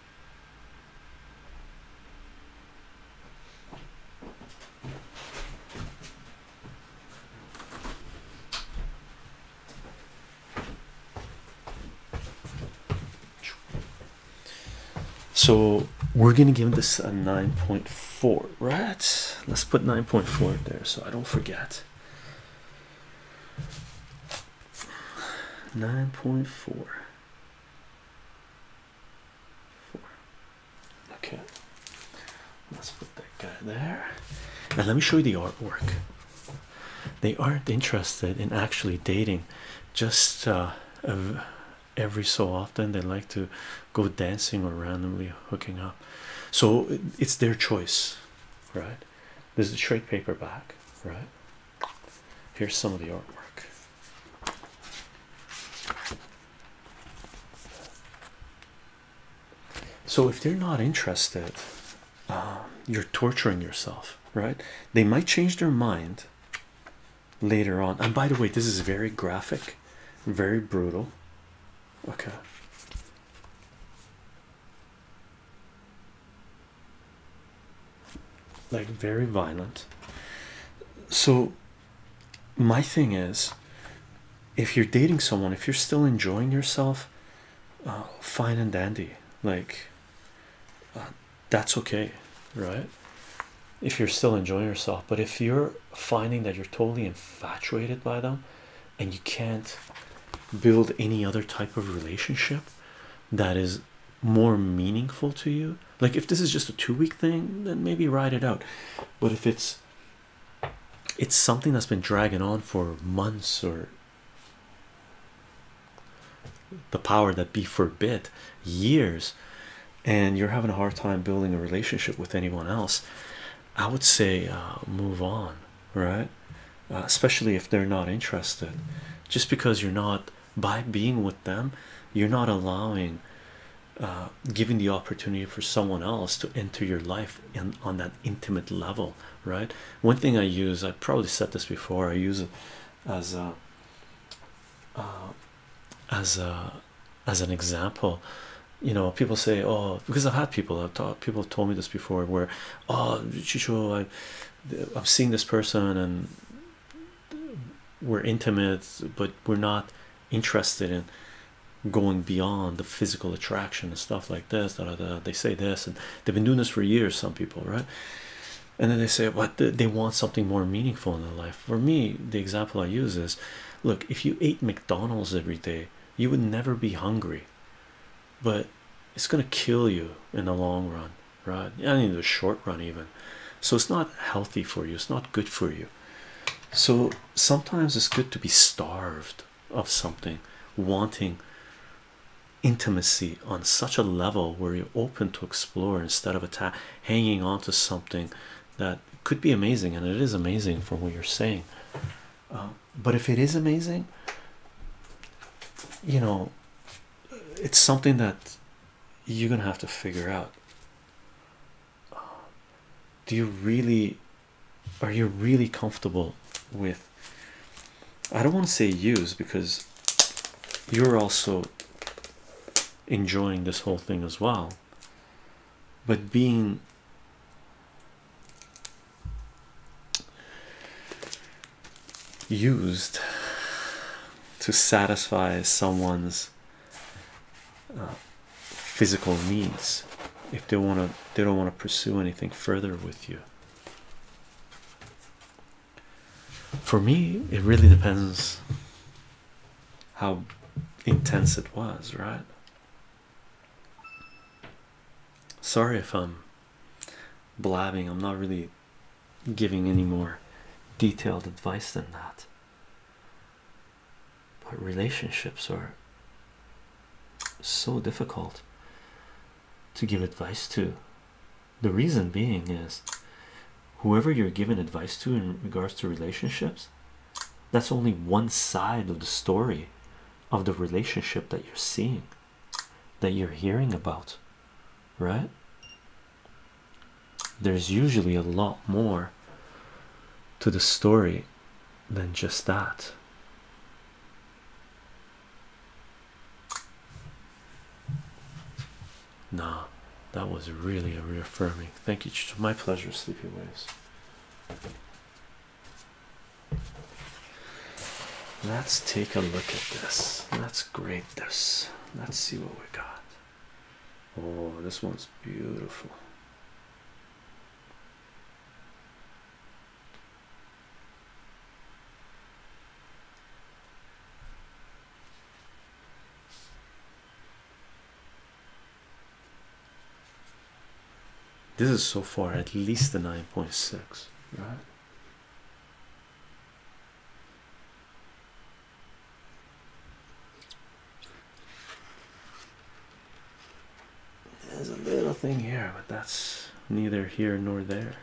So we're gonna give this a 9.4, right? Let's put 9.4 there so I don't forget. 9.4 Okay, let's put that guy there. And let me show you the artwork. They aren't interested in actually dating, just uh, every so often they like to go dancing or randomly hooking up. So it's their choice, right? This is a trade paperback, right? Here's some of the artwork. So, if they're not interested, um, you're torturing yourself, right? They might change their mind later on. And by the way, this is very graphic, very brutal. Okay like very violent. So, my thing is if you're dating someone, if you're still enjoying yourself, uh, fine and dandy, like uh, that's okay, right? If you're still enjoying yourself, but if you're finding that you're totally infatuated by them and you can't build any other type of relationship that is more meaningful to you like if this is just a two-week thing then maybe ride it out but if it's it's something that's been dragging on for months or the power that be forbid years and you're having a hard time building a relationship with anyone else i would say uh, move on right uh, especially if they're not interested just because you're not by being with them you're not allowing uh, giving the opportunity for someone else to enter your life in on that intimate level right one thing i use i probably said this before i use as a uh, as a as an example you know people say oh because i've had people i've people have told me this before where oh Chicho, I, have seen this person and we're intimate but we're not interested in going beyond the physical attraction and stuff like this da, da, da. they say this and they've been doing this for years some people right and then they say what they want something more meaningful in their life for me the example i use is look if you ate mcdonald's every day you would never be hungry but it's going to kill you in the long run right and in the short run even so it's not healthy for you it's not good for you so sometimes it's good to be starved of something wanting intimacy on such a level where you're open to explore instead of attack hanging on to something that could be amazing and it is amazing from what you're saying um, but if it is amazing you know it's something that you're gonna have to figure out do you really are you really comfortable with I don't want to say use because you're also enjoying this whole thing as well but being used to satisfy someone's uh, physical needs if they want to they don't want to pursue anything further with you for me it really depends how intense it was right sorry if i'm blabbing i'm not really giving any more detailed advice than that. But relationships are so difficult to give advice to. The reason being is whoever you're giving advice to in regards to relationships, that's only one side of the story of the relationship that you're seeing, that you're hearing about, right? there's usually a lot more to the story than just that. Nah, that was really a reaffirming. Thank you, my pleasure, Sleepy Waves. Let's take a look at this. Let's grade this. Let's see what we got. Oh, this one's beautiful. This is so far at least a 9.6, right? There's a little thing here, but that's neither here nor there. <laughs>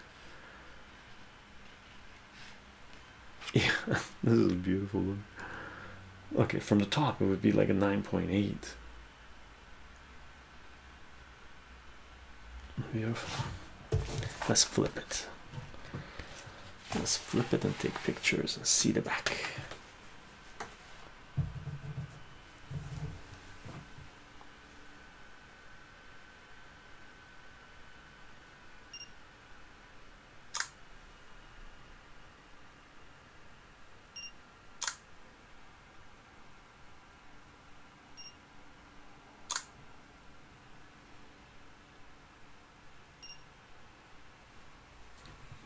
Yeah, this is beautiful Okay, from the top it would be like a 9.8. Beautiful. Let's flip it. Let's flip it and take pictures and see the back.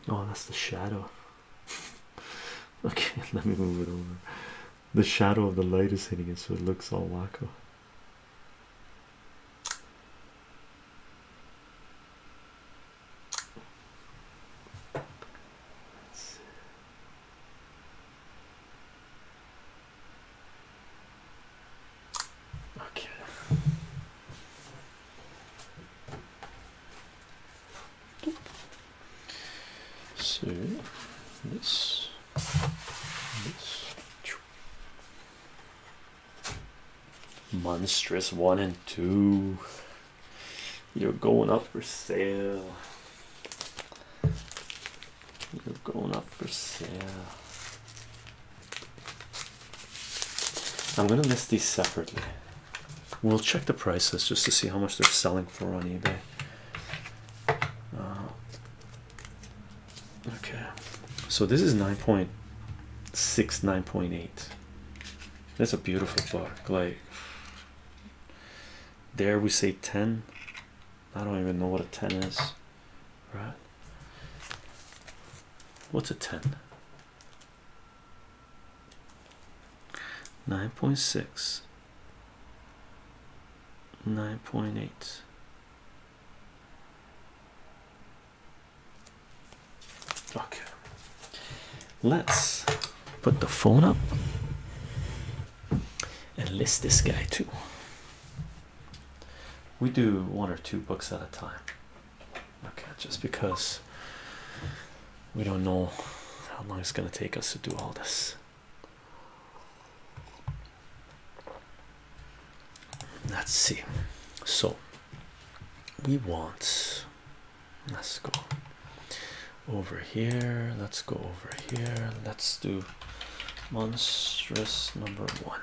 Oh, that's the shadow. <laughs> okay, <laughs> let me move it over. The shadow of the light is hitting it, so it looks all wacko. Okay. So this, this monstrous one and two. You're going up for sale. You're going up for sale. I'm gonna list these separately. We'll check the prices just to see how much they're selling for on eBay. Uh, okay, so this is nine point six, nine point eight. That's a beautiful book. Like, there we say 10. I don't even know what a 10 is, right? What's a 10? 9.6 9.8 Okay, let's put the phone up and list this guy too. We do one or two books at a time. Okay, just because we don't know how long it's going to take us to do all this. Let's see. So we want, let's go over here, let's go over here, let's do monstrous number one.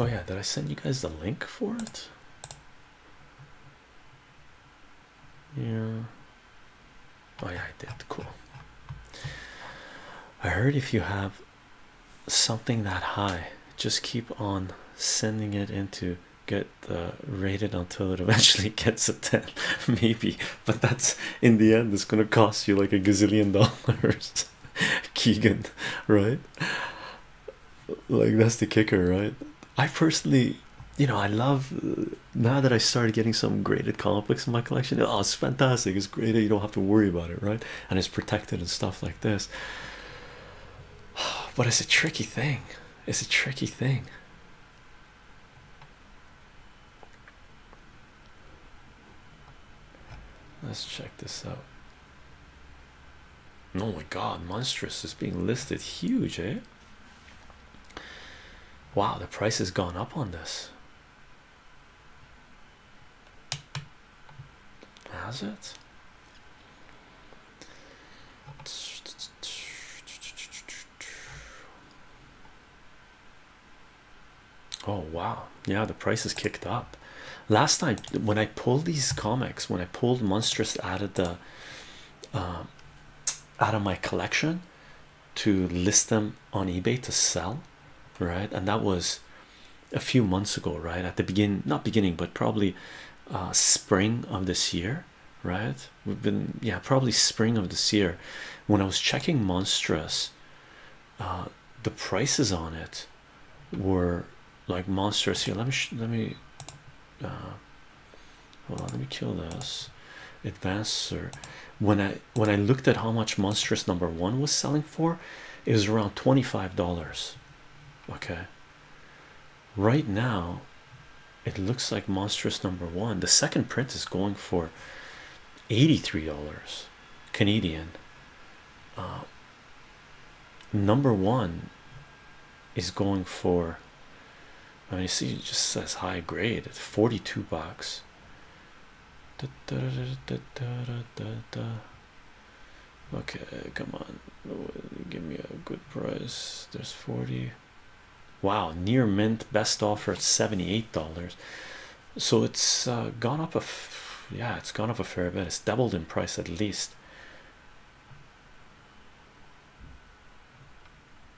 Oh yeah, did I send you guys the link for it? Yeah. Oh yeah, I did. Cool. I heard if you have something that high, just keep on sending it into get uh, rated until it <laughs> eventually gets a 10 <laughs> maybe <laughs> but that's in the end it's gonna cost you like a gazillion <laughs> dollars keegan right like that's the kicker right i personally you know i love uh, now that i started getting some graded comics in my collection oh it's fantastic it's graded you don't have to worry about it right and it's protected and stuff like this <sighs> but it's a tricky thing it's a tricky thing Let's check this out. Oh my god, monstrous is being listed huge, eh? Wow, the price has gone up on this. Has it? Oh wow, yeah, the price is kicked up. Last time when I pulled these comics, when I pulled Monstrous out of the um, out of my collection to list them on eBay to sell, right? And that was a few months ago, right? At the beginning, not beginning, but probably uh, spring of this year, right? We've been, yeah, probably spring of this year when I was checking Monstrous, uh, the prices on it were like monstrous. Here, let me let me uh, hold on. Let me kill this. Advancer. When I when I looked at how much monstrous number one was selling for, it was around twenty five dollars. Okay. Right now, it looks like monstrous number one. The second print is going for $83 Canadian. Uh, number one is going for I mean, you see, it just says high grade at 42 bucks. Okay, come on, give me a good price. There's 40. Wow, near mint best offer $78 so it's uh, gone up a yeah it's gone up a fair bit it's doubled in price at least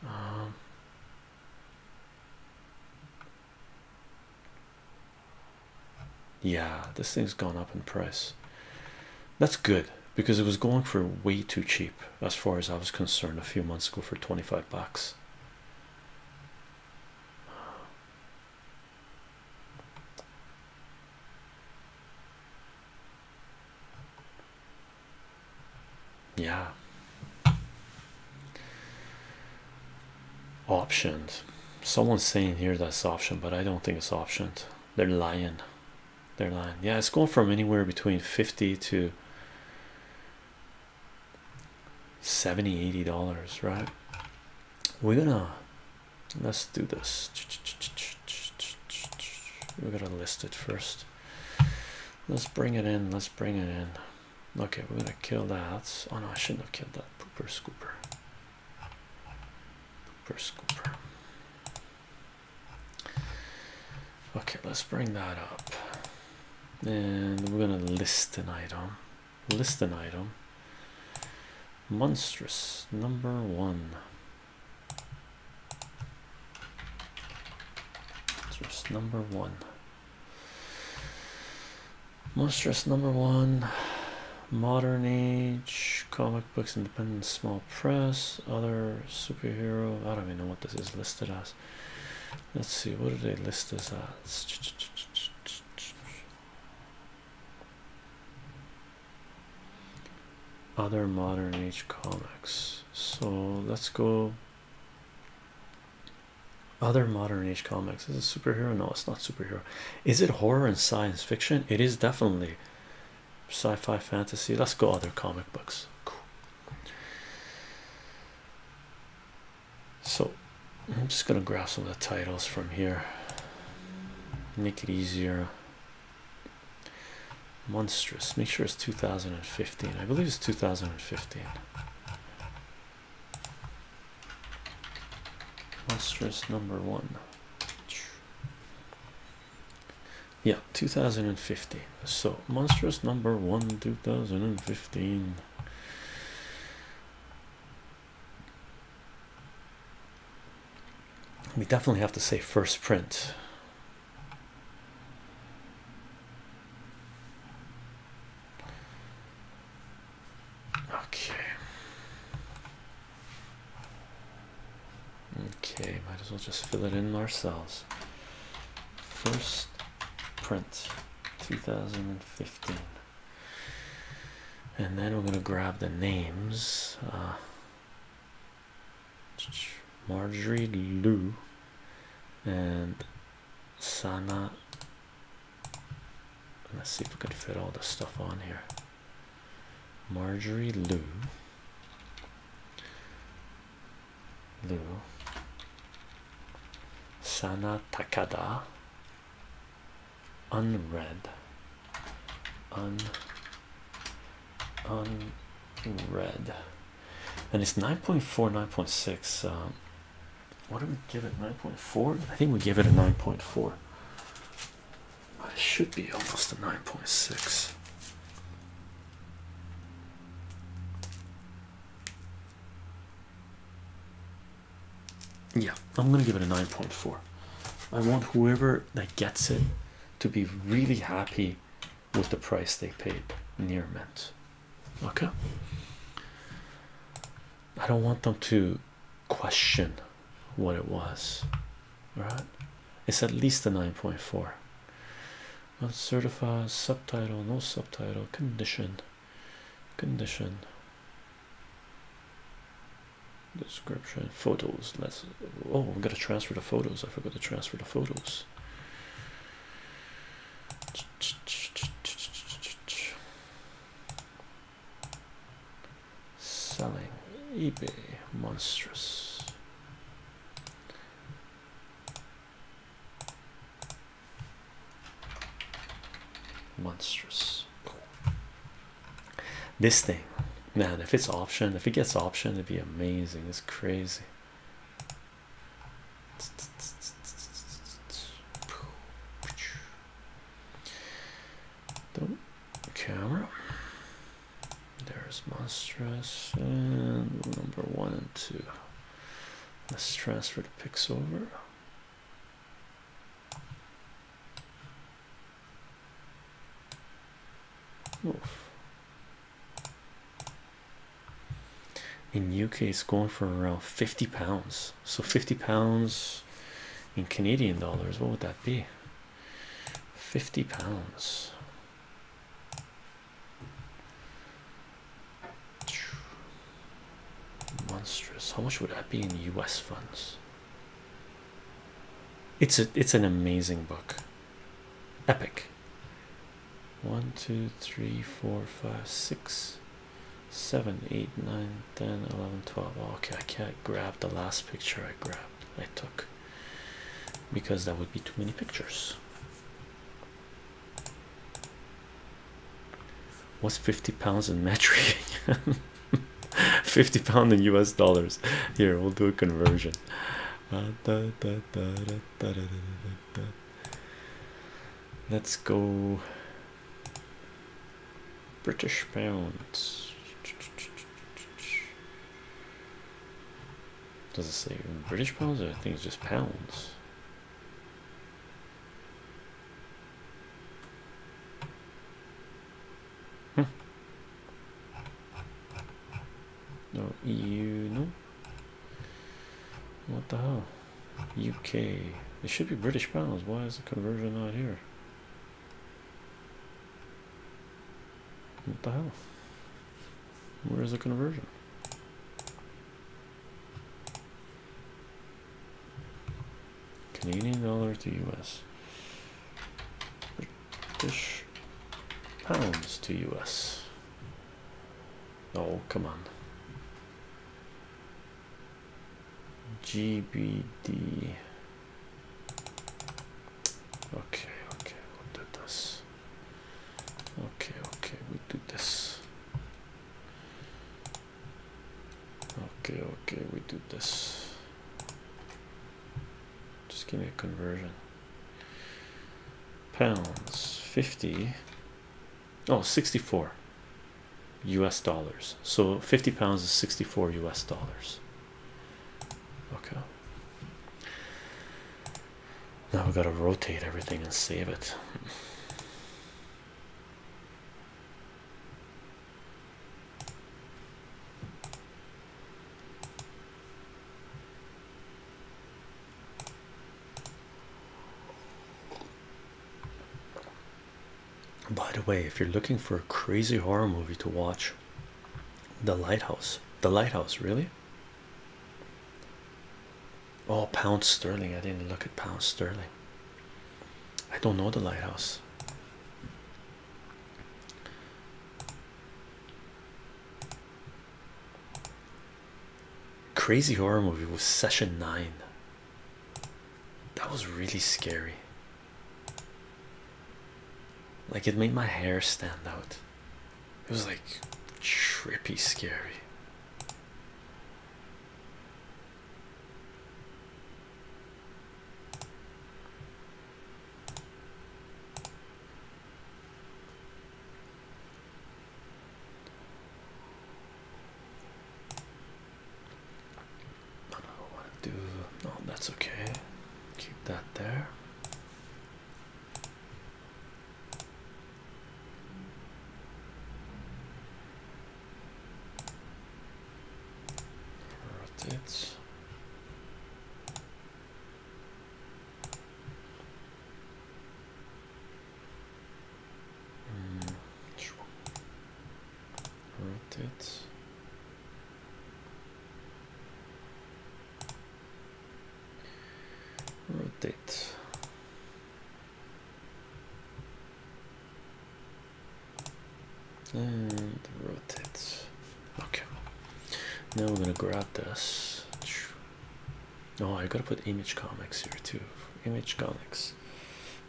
um, yeah this thing's gone up in price that's good because it was going for way too cheap as far as i was concerned a few months ago for 25 bucks yeah Options. someone's saying here that's option, but i don't think it's optioned they're lying they're lying yeah it's going from anywhere between 50 to 70 80 dollars right we're gonna let's do this we're gonna list it first let's bring it in let's bring it in okay we're gonna kill that oh no i shouldn't have killed that pooper scooper pooper scooper okay let's bring that up and we're gonna list an item list an item monstrous number one monstrous number one monstrous number one modern age comic books independent small press other superhero i don't even know what this is listed as Let's see, what do they list as? As other modern age comics. So let's go. Other modern age comics. Is it superhero? No, it's not superhero. Is it horror and science fiction? It is definitely sci-fi fantasy. Let's go other comic books. So I'm just gonna grab some of the titles from here, make it easier. Monstrous, make sure it's 2015. I believe it's 2015. Monstrous number one. Yeah, 2015. So monstrous number one, 2015. We definitely have to say first print. Okay. Okay, might as well just fill it in ourselves. First print. 2015 and then we're going to grab the names uh, Marjorie Lou and Sana let's see if we can fit all this stuff on here Marjorie Lou Lou Sana Takada unread un unread and it's nine point four, nine point six. 9.6 um, what did we give it 9.4 I think we gave it a 9.4 it should be almost a 9.6 yeah i'm gonna give it a 9.4 i want whoever that gets it to be really happy with the price they paid near mint okay i don't want them to question what it was right it's at least a 9.4 uncertified subtitle no subtitle condition condition description photos let's oh we gotta transfer the photos I forgot to transfer the photos selling eBay monstrous monstrous this thing man if it's option if it gets option it'd be amazing it's crazy the camera there's monstrous and number one and two let's transfer the pics over in UK, it's going for around 50 pounds. So 50 pounds in Canadian dollars, what would that be? 50 pounds monstrous how much would that be in us funds it's a it's an amazing book epic one two three four five six seven eight nine ten eleven twelve oh, okay i can't grab the last picture i grabbed i took because that would be too many pictures What's 50 pounds in metric? <laughs> 50 pound in US dollars. Here, we'll do a conversion. Let's go British pounds. Does it say British pounds? Or things just pounds. Huh. Hmm. No EU, no. What the hell? UK. It should be British pounds. Why is the conversion not here? What the hell? Where is the conversion? Canadian dollar to US, British pounds to US. Oh, come on. GBD. Okay, okay, we'll do this. Okay, okay, we we'll do this okay okay we do this just give me a conversion pounds 50 oh 64 US dollars so 50 pounds is 64 US dollars okay now we gotta rotate everything and save it by the way, if you're looking for a crazy horror movie to watch, The Lighthouse, The Lighthouse, really? Oh, Pounce sterling. I didn't look at Pounce sterling. I don't know the lighthouse. Crazy horror movie was session nine. That was really scary. Like it made my hair stand out. It was like trippy scary. I don't want to do no, that's okay. Keep that there rotate hmm. rotate rotate and rotate. Okay, now we're gonna grab this. oh, I gotta put image comics here too. Image comics,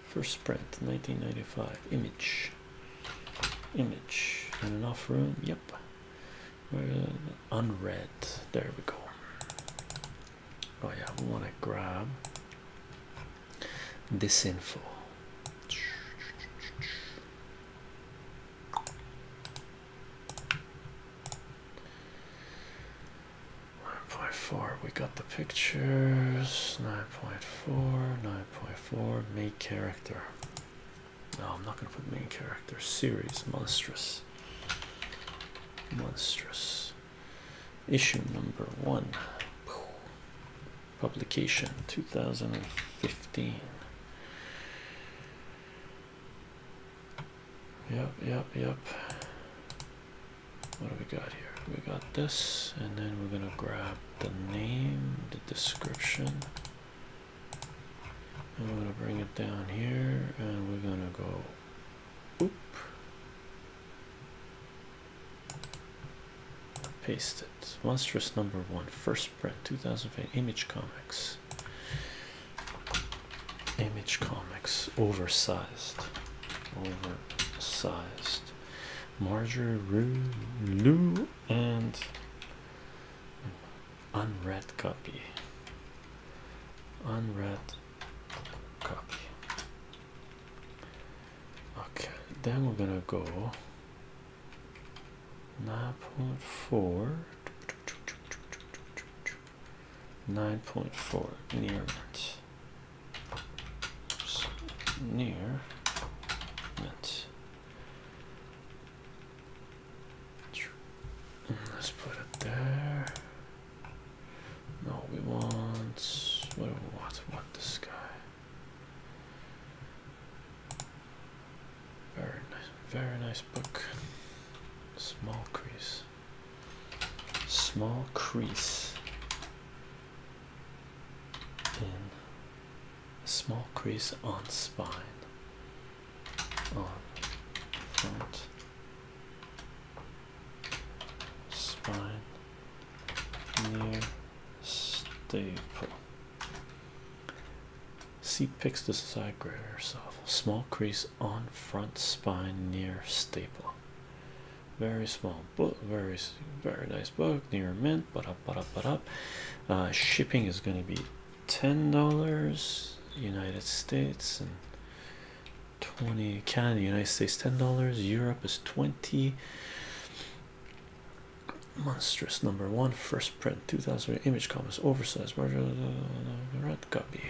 first print 1995. Image, image, and enough room. Yep, unread. There we go. Oh, yeah, we want to grab this info. Nine point four. We got the pictures. Nine point four. Nine point four. Main character. No, I'm not gonna put main character. Series monstrous. Monstrous issue number one publication 2015 yep yep yep what do we got here we got this and then we're gonna grab the name the description and we're gonna bring it down here and we're gonna go Paste it. Monstrous number one, first print, 2008, Image Comics. Image Comics, oversized, oversized. Marjorie Rue, and unread copy. Unread copy. Okay, then we're gonna go nine point four. 9.4 near mint. Near mint. Let's put it there. No, we want. What do we want? What this guy? Very nice, very nice book. Small crease, small crease in small crease on spine, on front spine near staple. See picks the side grade herself. Small crease on front spine near staple. Very small book, very very nice book near mint. But up, but up, but up. Uh, shipping is going to be ten dollars United States and twenty Canada. United States ten dollars. Europe is twenty. Monstrous number one, first print, 2000 image comics, oversized, red copy.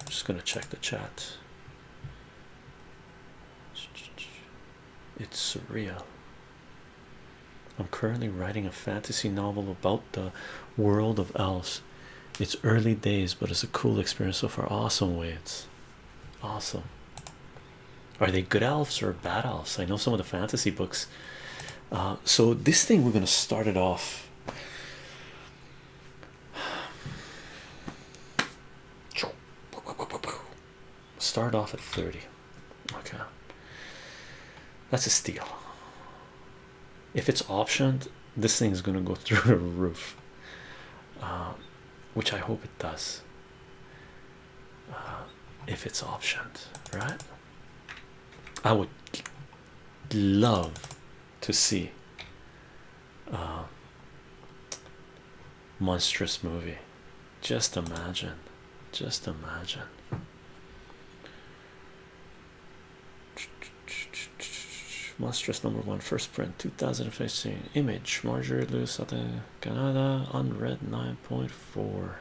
I'm just gonna check the chat. It's surreal. I'm currently writing a fantasy novel about the world of elves. It's early days, but it's a cool experience so far. Awesome, way it's. Awesome. Are they good elves or bad elves? I know some of the fantasy books. Uh, so this thing we're gonna start it off. Start off at 30. Okay. That's a steal. If it's optioned, this thing is gonna go <laughs> through the roof. Uh, which I hope it does if it's options, right? I would love to see uh, monstrous movie. Just imagine, just imagine. Monstrous number one, first print, 2015. Image, Marjorie Lewis at Canada unread 9.4.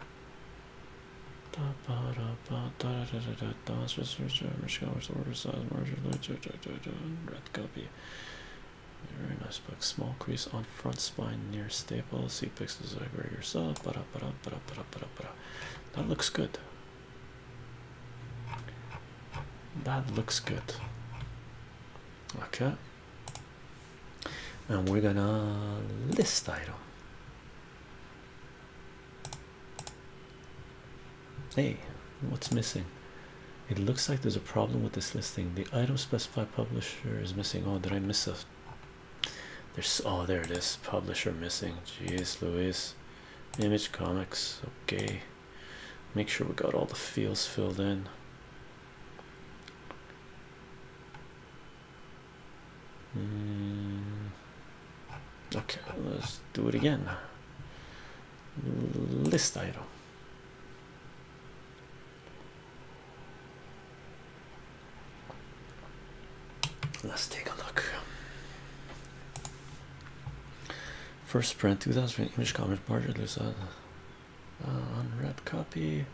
Red copy. Very nice book. Small crease on front spine near staple. See a over yourself. That looks good. That looks good. Okay and we're gonna list item. Hey, what's missing? It looks like there's a problem with this listing. The item specified publisher is missing. Oh, did I miss a? There's oh, there it is. Publisher missing. Jeez, Louise. Image Comics. Okay, make sure we got all the fields filled in. Mm. Okay, let's do it again. List item. Let's take a look. First print 2000 image comment part. Uh, unwrap copy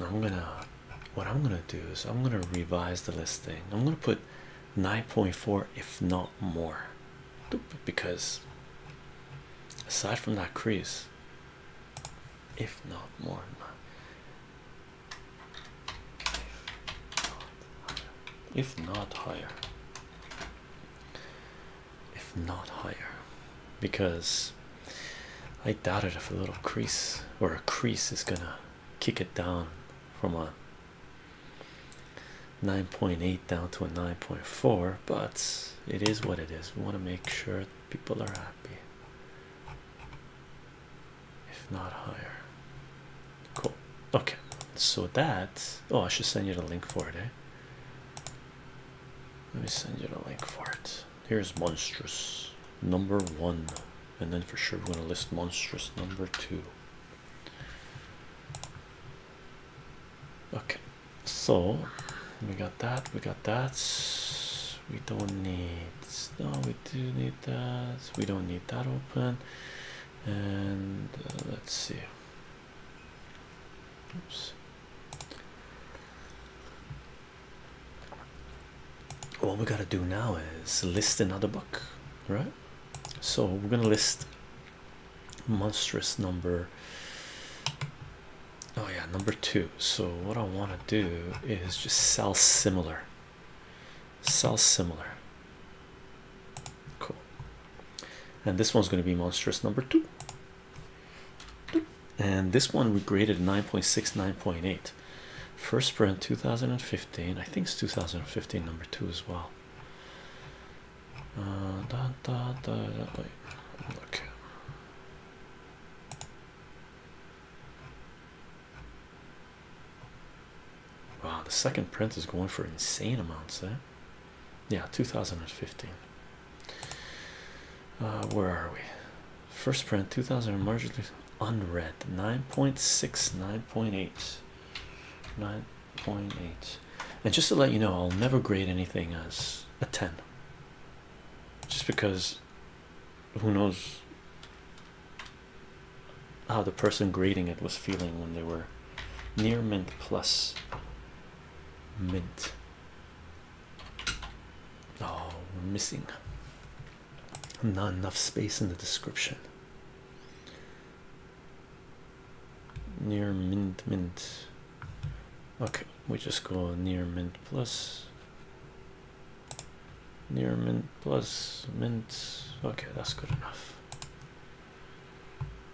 I'm gonna what I'm gonna do is I'm gonna revise the listing I'm gonna put 9.4 if not more because aside from that crease if not more if not higher if not higher because i doubt it if a little crease or a crease is gonna kick it down from a 9.8 down to a 9.4 but it is what it is we want to make sure people are happy, if not higher. Cool, okay. So that oh, I should send you the link for it. Eh? Let me send you the link for it. Here's monstrous number one, and then for sure, we're going to list monstrous number two. Okay, so we got that we got that we don't need no we do need that we don't need that open and uh, let's see oops what we gotta do now is list another book right so we're gonna list monstrous number oh yeah number two so what i want to do is just sell similar sell similar cool and this one's going to be monstrous number two and this one we graded 9.6 9.8 first print 2015 i think it's 2015 number two as well uh, Wow, the second print is going for insane amounts, eh? Yeah, 2015. Uh, where are we? First print 2000 and marginally unread 9.6, 9.8. And just to let you know, I'll never grade anything as a 10 just because who knows how the person grading it was feeling when they were near mint plus mint oh missing not enough space in the description near mint mint Okay, we just go near mint plus near mint plus mint. Okay, that's good enough.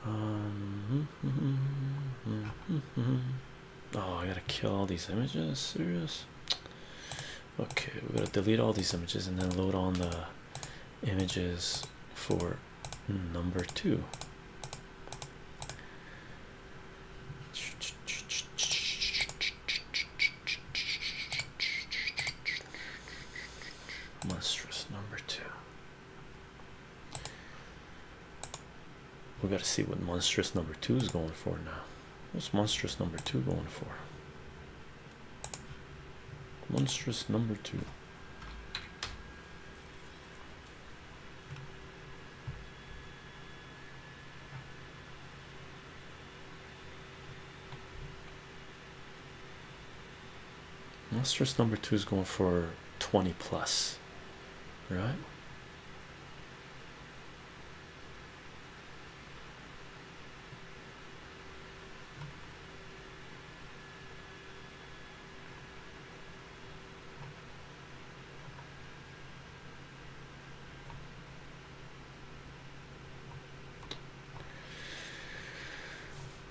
Um, hmm, hmm, hmm, oh, I gotta kill all these images. Serious? Okay, we're gonna delete all these images and then load on the images for number two. Monstrous number two. We gotta see what monstrous number two is going for now. What's monstrous number two going for? Monstrous number two. Monstrous number two is going for 20 plus, right?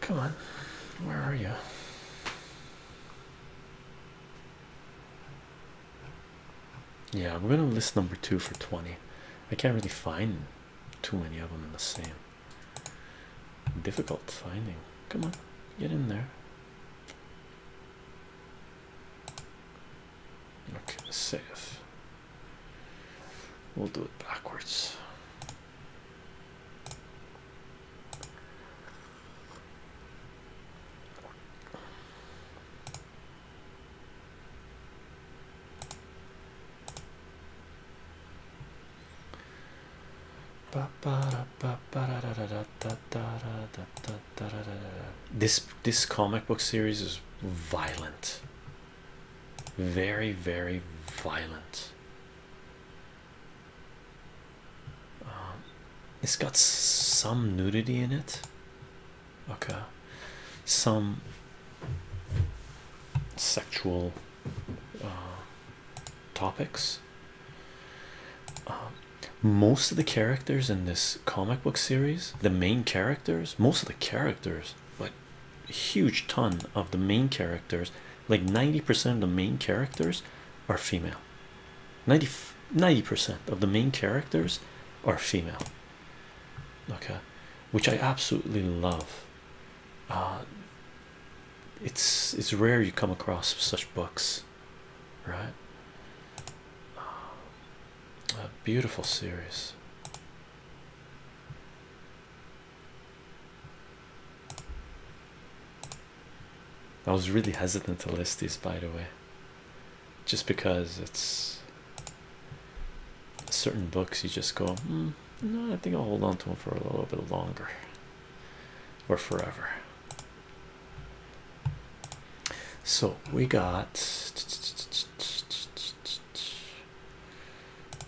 Come on, where are you? Yeah, I'm gonna list number two for 20. I can't really find too many of them in the same. Difficult finding. Come on, get in there. Okay, save. We'll do it backwards. ba ba da ba da da da da da da da da this this comic book series is violent, very very violent. Um, it's got some nudity in it. Okay, some sexual uh, topics. Um, most of the characters in this comic book series, the main characters, most of the characters, but huge ton of the main characters, like 90% of the main characters are female. 90 percent of the main characters are female. Okay, which I absolutely love. Uh, it's it's rare you come across such books right? Um, a beautiful series. I was really hesitant to list these, by the way, just because it's certain books you just go, hmm, no, I think I'll hold on to them for a little bit longer or forever. So we got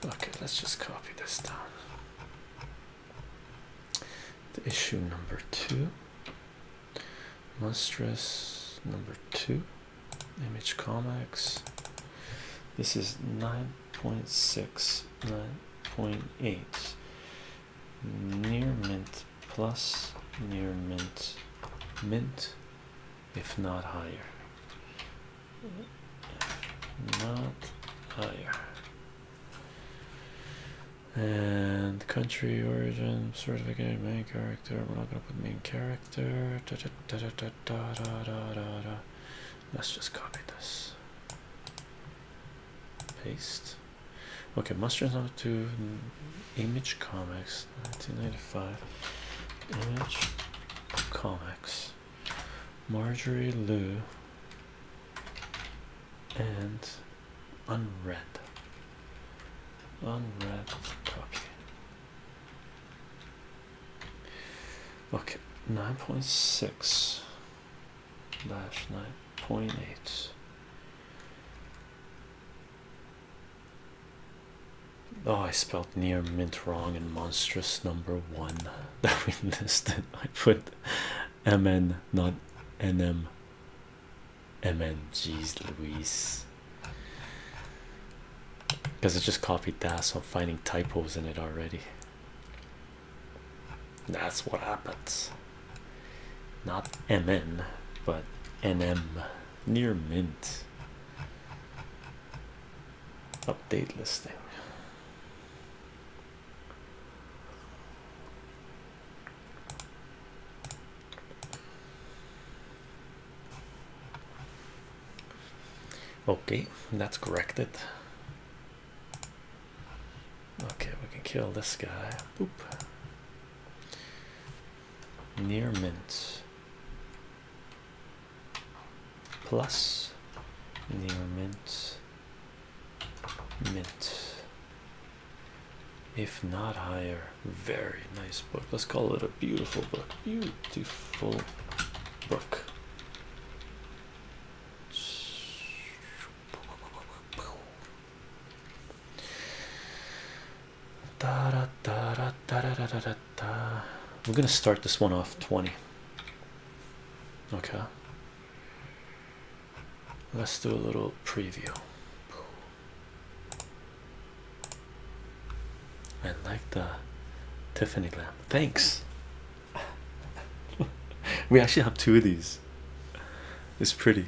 okay, let's just copy this down. issue number two, monstrous number two, image comics. This is 9.6, 9.8 near mint plus near mint mint if not higher not higher and country origin certificate main character we're not gonna put main character let's just copy this paste okay mustard number two image comics 1995. Image Comics. Marjorie Lou and unread. Unread copy. Okay, 9.6 dash 9.8. Oh, I spelled near mint wrong in monstrous number one <laughs> that we listed. I put MN, not NM. MN, geez, Louise. Because it just copied that, so I'm finding typos in it already. That's what happens. Not MN, but NM near mint update listing okay that's corrected okay we can kill this guy Boop near mint plus near mint mint if not higher very nice book let's call it a beautiful book beautiful book we're gonna start this one off 20. Okay, let's do a little preview. I like the Tiffany lamp. Thanks. <laughs> we actually have two of these, it's pretty.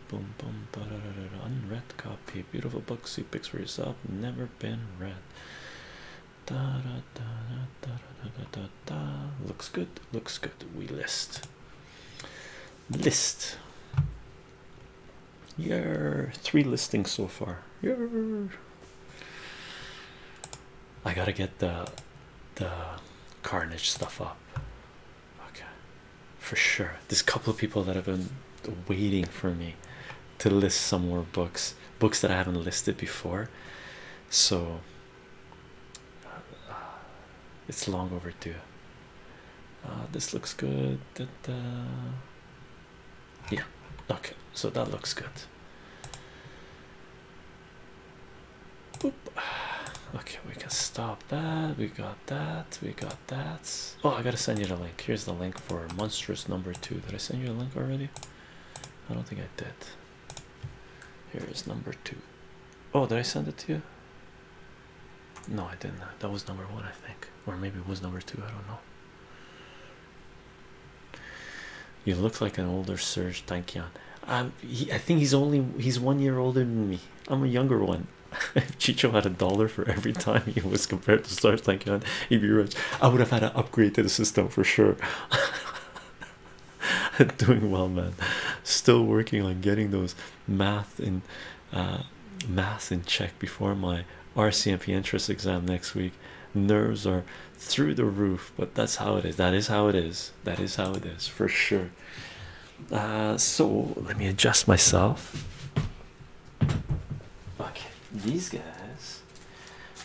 boom boom da, da, da, da, unread copy beautiful book see picks for yourself never been read da, da, da, da, da, da, da, da. looks good looks good we list list yeah three listings so far yeah I gotta get the the carnage stuff up okay for sure. There's a couple of people that have been waiting for me to list some more books, books that I haven't listed before. So uh, it's long overdue. Uh, this looks good. yeah, okay. So that looks good. <sighs> Okay, we can stop that. We got that. We got that's oh I gotta send you the link. Here's the link for monstrous number two. Did I send you a link already? I don't think I did. Here is number two. Oh, did I send it to you? No, I didn't. That was number one, I think, or maybe it was number two. I don't know. You look like an older Serge Tankian. Um, he, I think he's only he's one year older than me. I'm a younger one. <laughs> if Chicho had a dollar for every time he was compared to stars like God, he'd be rich. I would have had to upgrade to the system for sure. <laughs> Doing well, man. Still working on getting those math in uh, math in check before my RCMP interest exam next week. Nerves are through the roof, but that's how it is. That is how it is. That is how it is for sure. Uh, so let me adjust myself. Okay, these guys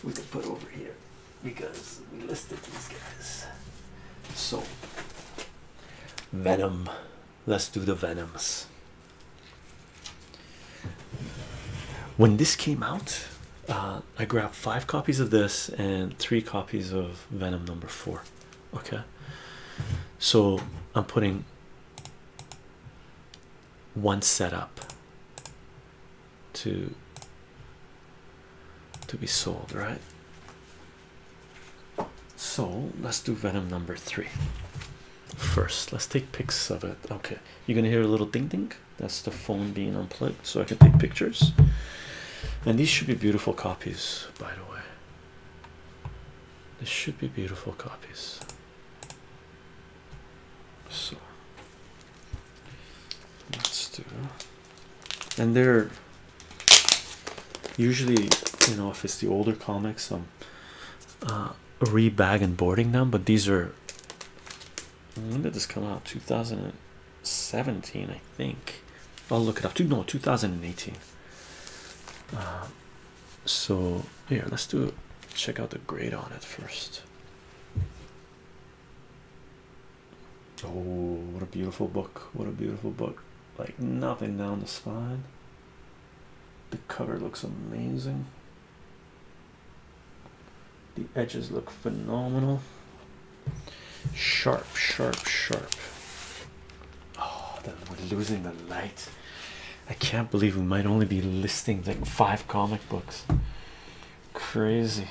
we can put over here because we listed these guys. So, Venom. Let's do the Venoms. When this came out, uh, I grabbed five copies of this and three copies of Venom number four. Okay, so I'm putting once set up to to be sold right so let's do venom number three first let's take pics of it okay you're gonna hear a little ding ding that's the phone being unplugged so i can take pictures and these should be beautiful copies by the way These should be beautiful copies so let's do, and they're usually, you know, if it's the older comics, I'm um, uh, and boarding them, but these are when did this come out? 2017, I think. I'll look it up. No, 2018. Uh, so here let's do check out the grade on it first oh what a beautiful book what a beautiful book like nothing down the spine the cover looks amazing the edges look phenomenal sharp sharp sharp oh we're losing the light I can't believe we might only be listing like five comic books. Crazy.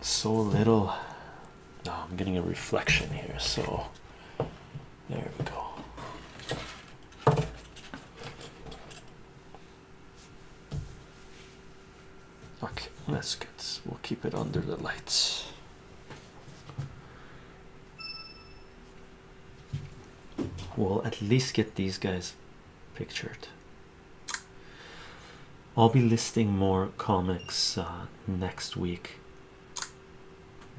So little. I'm getting a reflection here, so there we go. Okay, that's good. we'll keep it under the lights. We'll at least get these guys pictured. I'll be listing more comics uh, next week.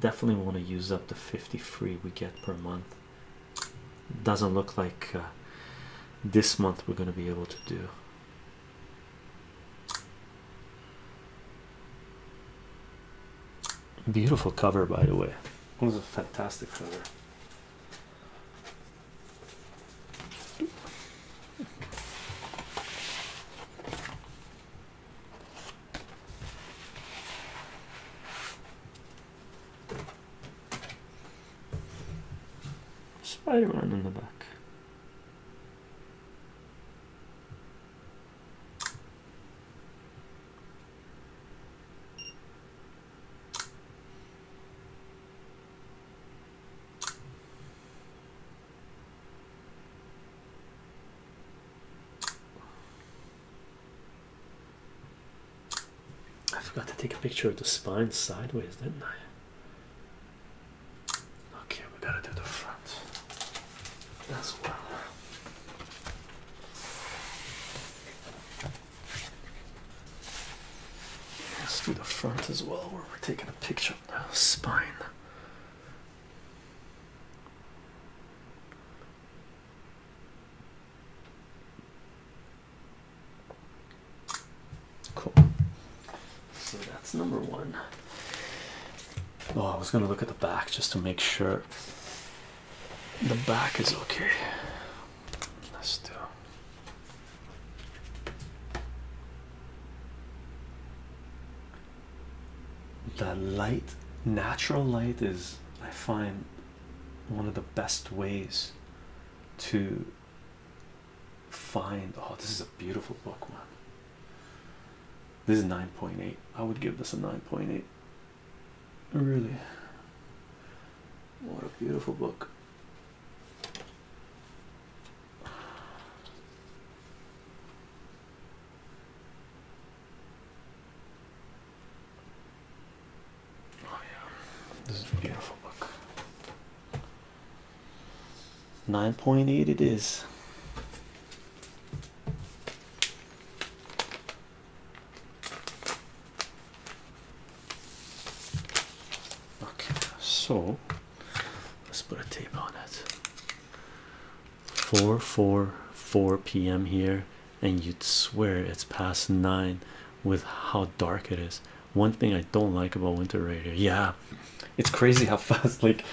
Definitely want to use up the 50 free we get per month. Doesn't look like uh, this month we're going to be able to do. Beautiful cover, by the way. It was a fantastic cover. Spider-Man in the back. I forgot to take a picture of the spine sideways, didn't I? Okay, we gotta do the front as well. Let's do the front as well, where we're taking a picture of the spine. Cool. So that's number one. Oh, I was gonna look at the back just to make sure the back is okay. Let's do. The light, natural light, is I find one of the best ways to find. Oh, this is a beautiful book, man. This is 9.8. I would give this a 9.8. Really. What a beautiful book. Oh, yeah. This is a beautiful book. 9.8 it is. Okay, so let's put a tape on it. 4 4 4 p.m. here, and you'd swear it's past 9 with how dark it is. One thing I don't like about winter radio, yeah, it's crazy how <laughs> fast. Like,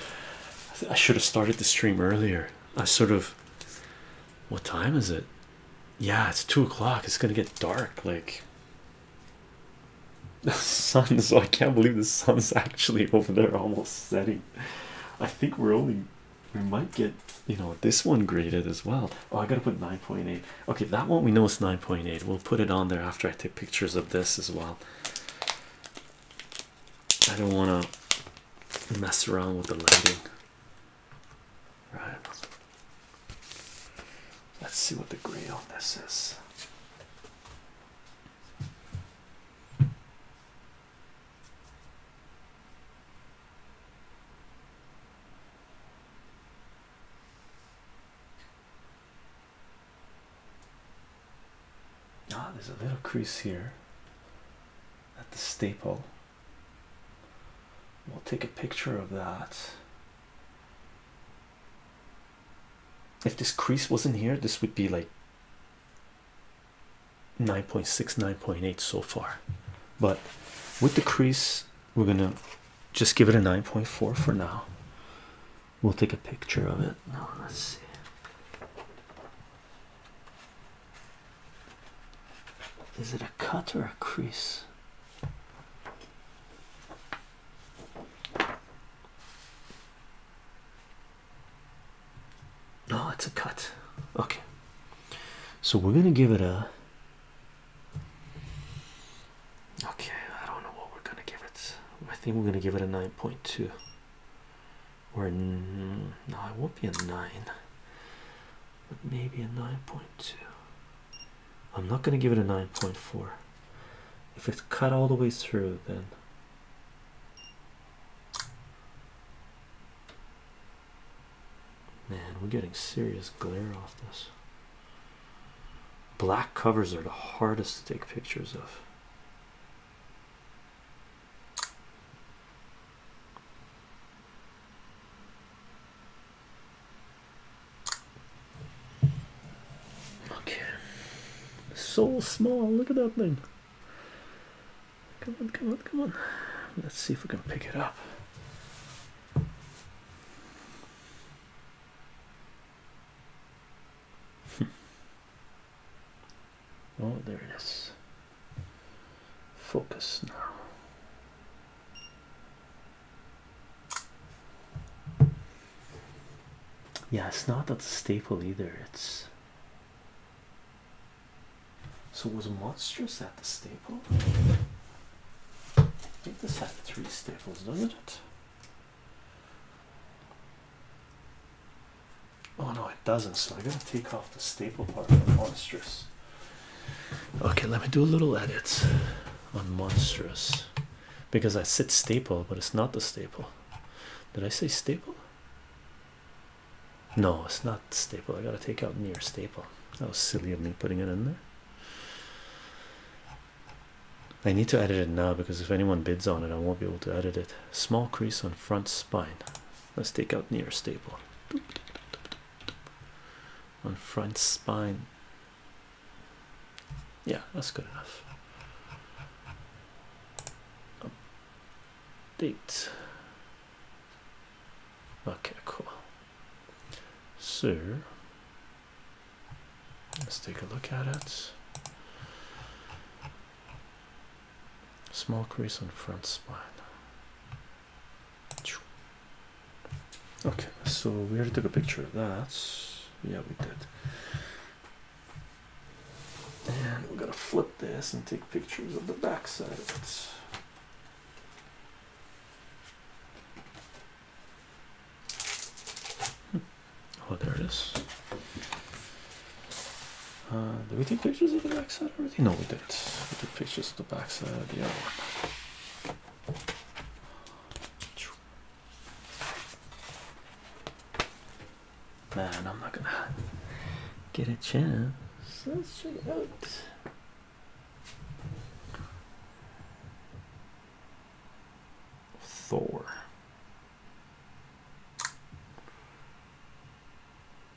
I should have started the stream earlier here. I sort of what time is it? Yeah, it's two o'clock. It's gonna get dark. Like <laughs> the sun, so I can't believe the sun's actually over there almost setting. I think we're only we might get you know this one graded as well. Oh, I gotta put 9.8. Okay, that one we know is 9.8. We'll put it on there after I take pictures of this as well. I don't want to mess around with the lighting. Right. Let's see what the gray on this is. Ah, there's a little crease here at the staple. We'll take a picture of that. If this crease wasn't here, this would be like 9.6, 9.8 so far. But with the crease, we're gonna just give it a 9.4 for now. We'll take a picture of it. let's see. Is it a cut or a crease? No, it's a cut. Okay. So we're going to give it a. Okay, I don't know what we're going to give it. I think we're going to give it a 9.2 or no, it won't be a nine, but maybe a 9.2. I'm not going to give it a 9.4. If it's cut all the way through, then man, we're getting serious glare off this. Black covers are the hardest to take pictures of. Okay. So small. Look at that thing. Come on, come on, come on. Let's see if we can pick it up. <laughs> Oh, there it is. Focus now. Yeah, it's not that staple either. It's so was monstrous at the staple. I think this had three staples, doesn't it? Oh no, it doesn't. So I gotta take off the staple part of monstrous. Okay, let me do a little edit on monstrous because I said staple, but it's not the staple. Did I say staple? No, it's not staple. I gotta take out near staple. That was silly of me putting it in there. I need to edit it now because if anyone bids on it, I won't be able to edit it. Small crease on front spine. Let's take out near staple on front spine. Yeah, that's good enough. Update. Okay, cool. So let's take a look at it small crease on front spine okay so we already took a picture of that yeah we did and we're gonna flip this and take pictures of the back side hmm. Oh, there it is. Uh, Do we take pictures of the backside already? No, we didn't. We took pictures of the backside of the other one. Man, I'm not gonna get a chance. Let's check it out. Thor.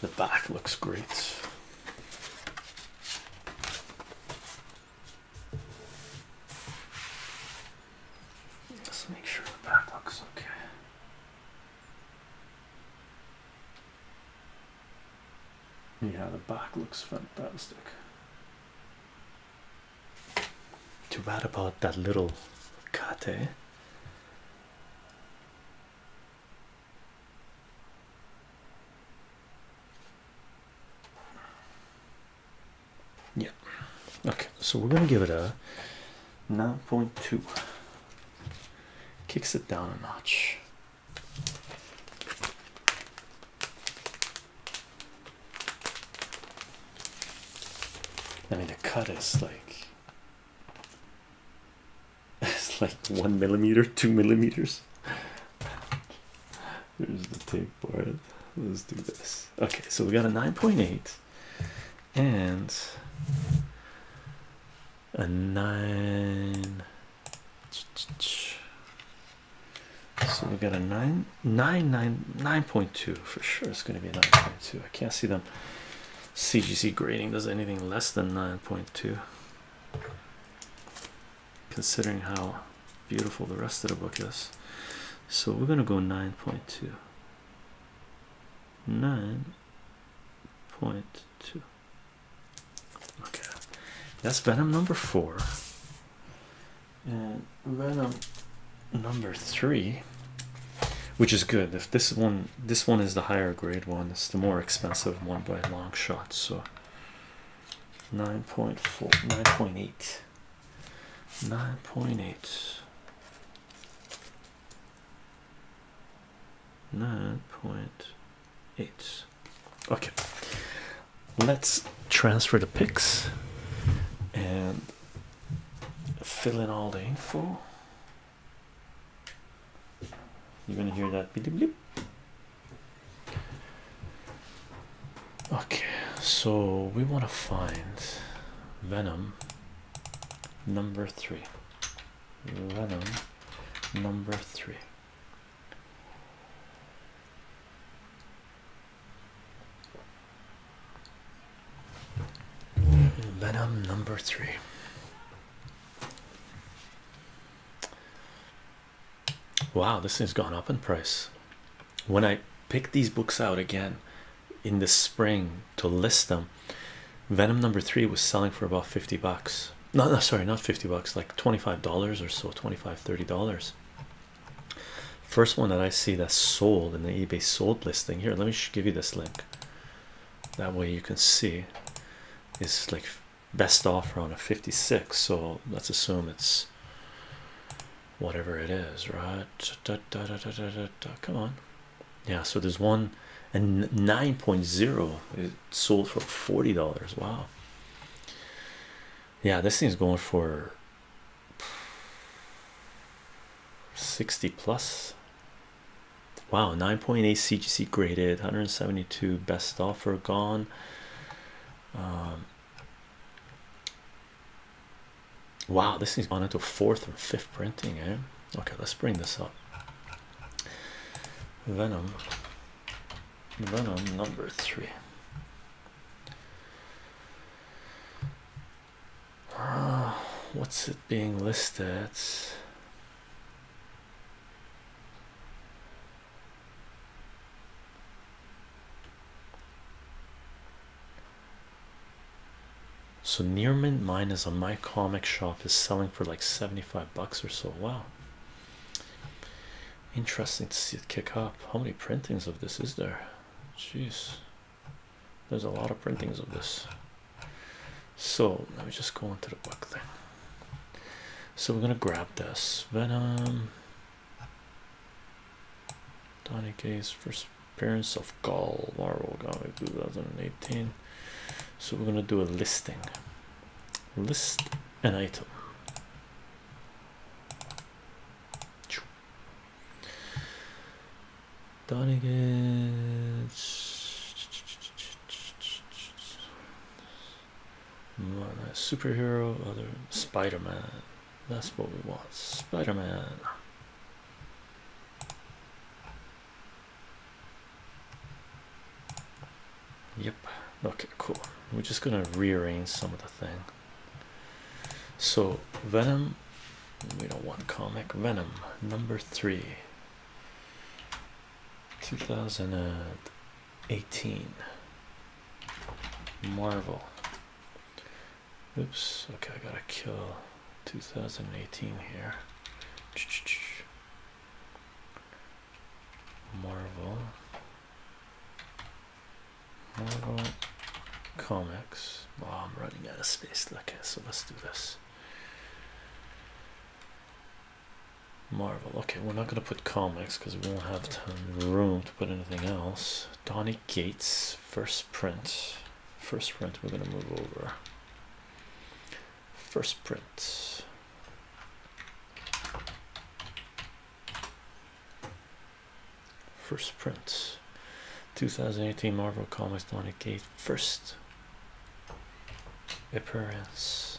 The back looks great. Let's make sure the back looks okay. Yeah, the back looks fantastic. Too bad about that little cut, eh? Yeah. Okay, so we're gonna give it a 9.2. Kicks it down a notch. I mean the cut is like <laughs> It's like one millimeter, two millimeters. Here's the tape for it. Let's do this. Okay, so we got a 9.8 and a 9. So we got a 9, 9, 9, 9.2 for sure. It's going to be a 9.2. I can't see them. CGC grading does anything less than 9.2 considering how beautiful the rest of the book is. So we're going to go 9.2. 9.2. Okay, that's Venom number four. And Venom number three, which is good. If this one this one is the higher grade one it's the more expensive one by long shot so 9.4 9.8 9.8 9.8 okay let's transfer the pics and fill in all the info you're gonna hear that bleep bleep. Okay, so we want to find Venom number three. Venom number three. Venom number three. Wow, this thing's gone up in price. When I picked these books out again in the spring to list them, Venom number three was selling for about 50 bucks. No, no, sorry, not 50 bucks, like $25 or so, 25 $30. First one that I see that sold in the eBay sold listing here. Let me give you this link that way you can see is like best offer on a 56 so let's assume it's whatever it is right come on yeah so there's one and 9.0 it sold for 40 dollars wow yeah this thing's going for 60 plus Wow, 9.8 CGC graded, 172 best offer gone. Um, wow, this is gone into fourth or fifth printing, eh? Okay, let's bring this up. Venom, Venom number three. Uh, what's it being listed? So Neerman Mine is on my comic shop is selling for like 75 bucks or so. Wow. Interesting to see it kick up. How many printings of this is there? Jeez. There's a lot of printings of this. So let me just go into the book there. So we're gonna grab this Venom. Donny Case first appearance of Gaul Marvel comic 2018. So we're gonna do a listing. List an item. Donny Gates superhero other spider-man that's what we want spider-man yep okay cool we're just gonna rearrange some of the thing so venom we don't want comic venom number three 2018 Marvel. Oops, okay, I gotta kill 2018 here. Marvel. Marvel Comics. Oh, I'm running out of space. Okay, so let's do this. Marvel. Okay, we're not gonna put comics because we won't have room to put anything else. Donnie Gates first print. First print we're gonna move over. First print. First print. 2018 Marvel Comics Donnie Gates first appearance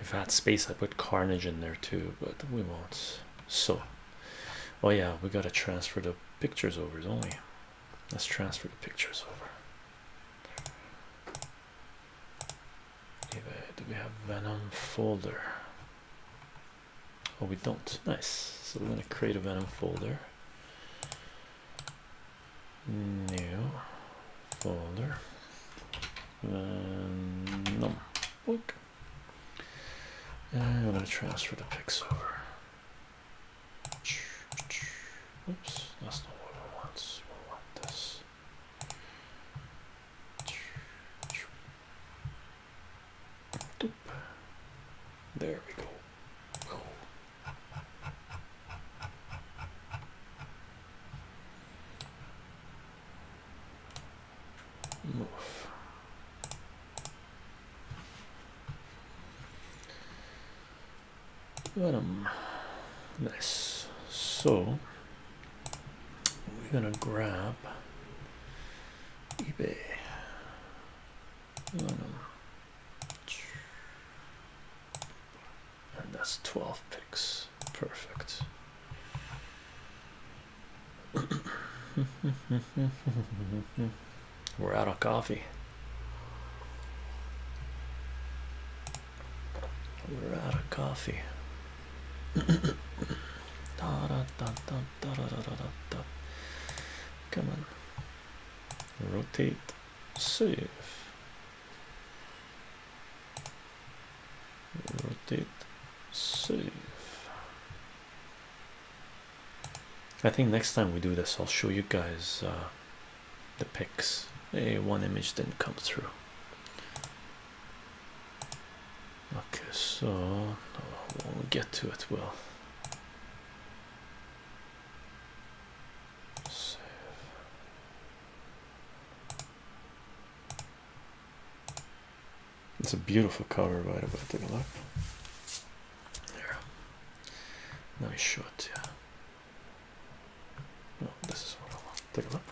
if I space, I put Carnage in there too, but we won't. So, oh yeah, we gotta transfer the pictures over, don't we? Let's transfer the pictures over. Do we have Venom folder? Oh, we don't. Nice. So we're gonna create a Venom folder. New folder. Venom book. And I'm going to transfer the pics over. Oops, that's not what we want. We want this. There we go move. What So we're gonna grab eBay. And that's 12 picks perfect. <laughs> We're out of coffee. We're out of coffee. <coughs> da, da, da, Come on, rotate, save rotate save I think next time we do this I'll show you guys uh, the pics hey one image didn't come through okay so we'll get to it we'll save it's a beautiful cover, by the way. Take a look. There. Let me show it to you. No, this is what I want. Take a look.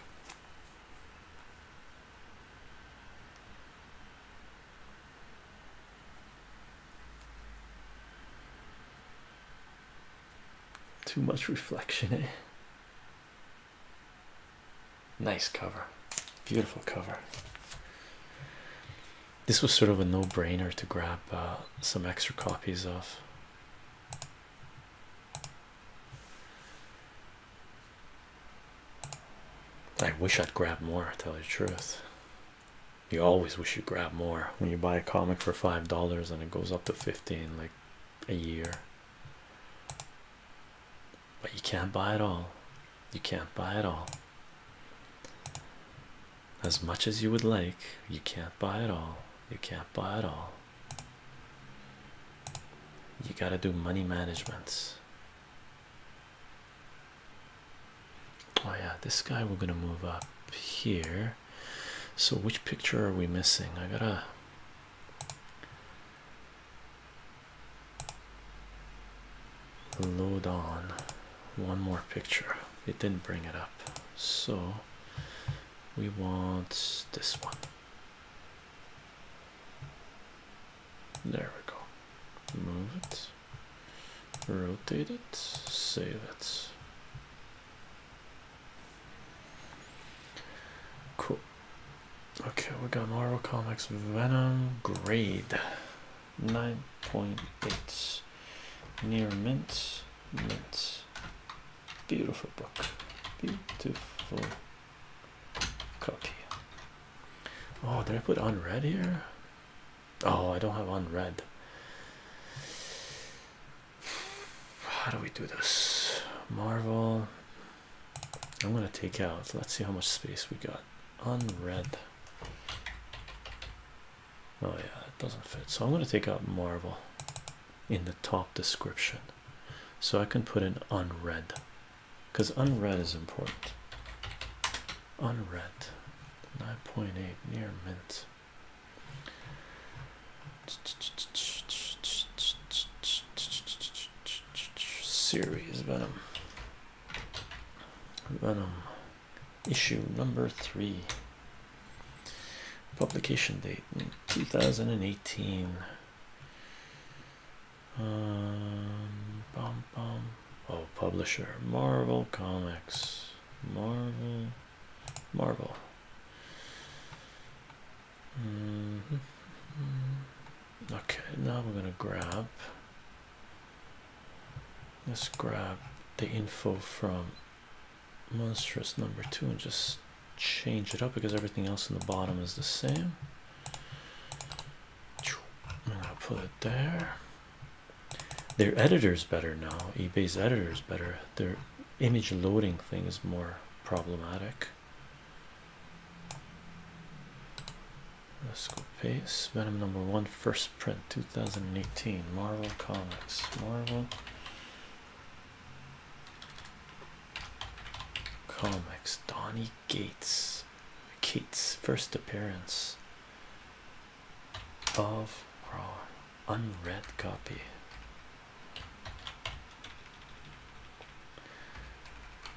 Too much reflection, eh? Nice cover, beautiful cover. This was sort of a no brainer to grab uh, some extra copies of. I wish I'd grabbed more, to tell you the truth. You always wish you grabbed more when you buy a comic for five dollars and it goes up to 15 like a year but you can't buy it all. You can't buy it all. As much as you would like, you can't buy it all. You can't buy it all. You got to do money management. Oh, yeah, this guy we're going to move up here. So, which picture are we missing? I gotta load on one more picture it didn't bring it up so we want this one there we go move it rotate it save it cool Okay, we got Marvel Comics Venom grade 9.8 near mint mint beautiful book beautiful copy oh did I put unread here oh I don't have unread how do we do this Marvel I'm gonna take out. Let's see how much space we got. Unread. Oh yeah, it doesn't fit. So I'm gonna take out Marvel in the top description, so I can put in unread, because unread is important. Unread. 9.8 near mint series Venom. Venom issue number three. Publication date 2018. Um, oh, publisher Marvel Comics. Marvel. Marvel. Mm-hmm. Okay, now we're gonna grab let's grab the info from monstrous number two and just change it up because everything else in the bottom is the same. I'm gonna put it there. Their editor's better now. eBay's editor's better. Their image loading thing is more problematic. Let's go pace Venom number one, first print 2018 Marvel Comics. Marvel Comics, Donny Gates, Kate's first appearance. of Crawler, unread copy.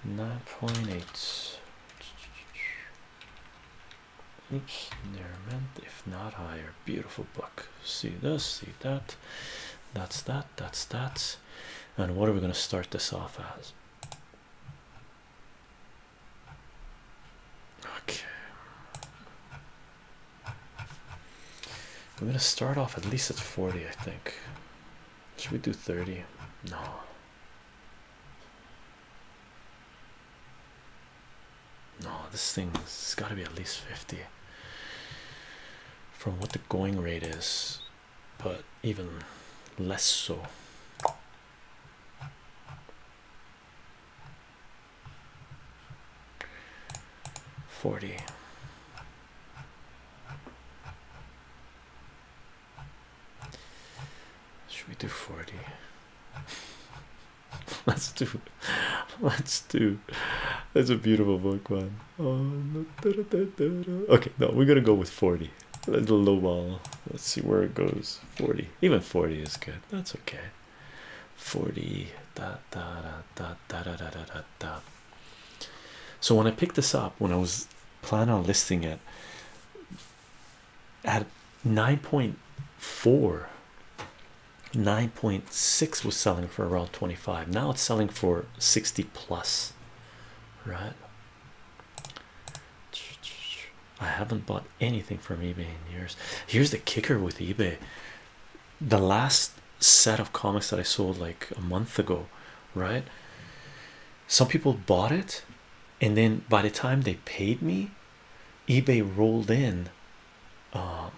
Nine point eight Oops, near rent, if not higher. Beautiful book. See this, see that. That's that, that's that. And what are we going to start this off as? Okay. We're going to start off at least at 40, I think. Should we do 30? No, no, this thing's got to be at least 50 from what the going rate is, but even less so. Forty should we do 40? <laughs> Let's do let's do that's a beautiful book, man. <laughs> Okay, no, we're gonna go with 40. Let's low ball. Let's see where it goes. 40. Even 40 is good. That's okay. 40 So when I picked this up when I was plan on listing it at 9.4 9.6 was selling for around 25 now it's selling for 60 plus right I haven't bought anything from eBay in years. Here's the kicker with eBay. The last set of comics that I sold like a month ago, right? some people bought it and then by the time they paid me ebay rolled in um,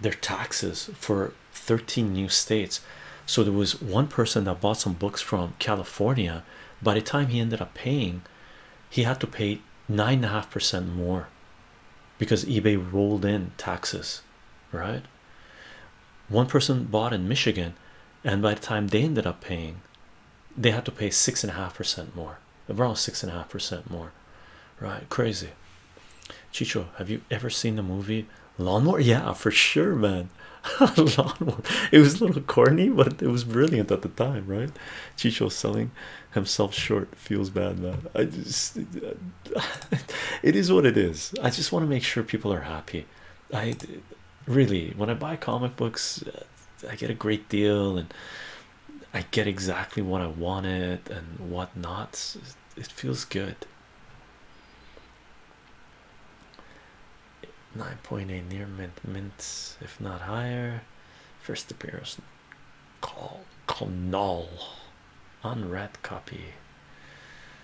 their taxes for 13 new states so there was one person that bought some books from california by the time he ended up paying he had to pay nine and a half percent more because ebay rolled in taxes right one person bought in Michigan, and by the time they ended up paying, they had to pay six and a half percent more, around six and a half percent more, right? Crazy. Chicho, have you ever seen the movie Lawnmower? Yeah, for sure, man. <laughs> Lawnmower. It was a little corny, but it was brilliant at the time, right? Chicho selling himself short feels bad, man. I just, <laughs> it is what it is. I just want to make sure people are happy. I really, when I buy comic books, I get a great deal and I get exactly what I wanted and whatnot. It feels good. 9.8 near mint mint, if not higher. First appearance call call null unread copy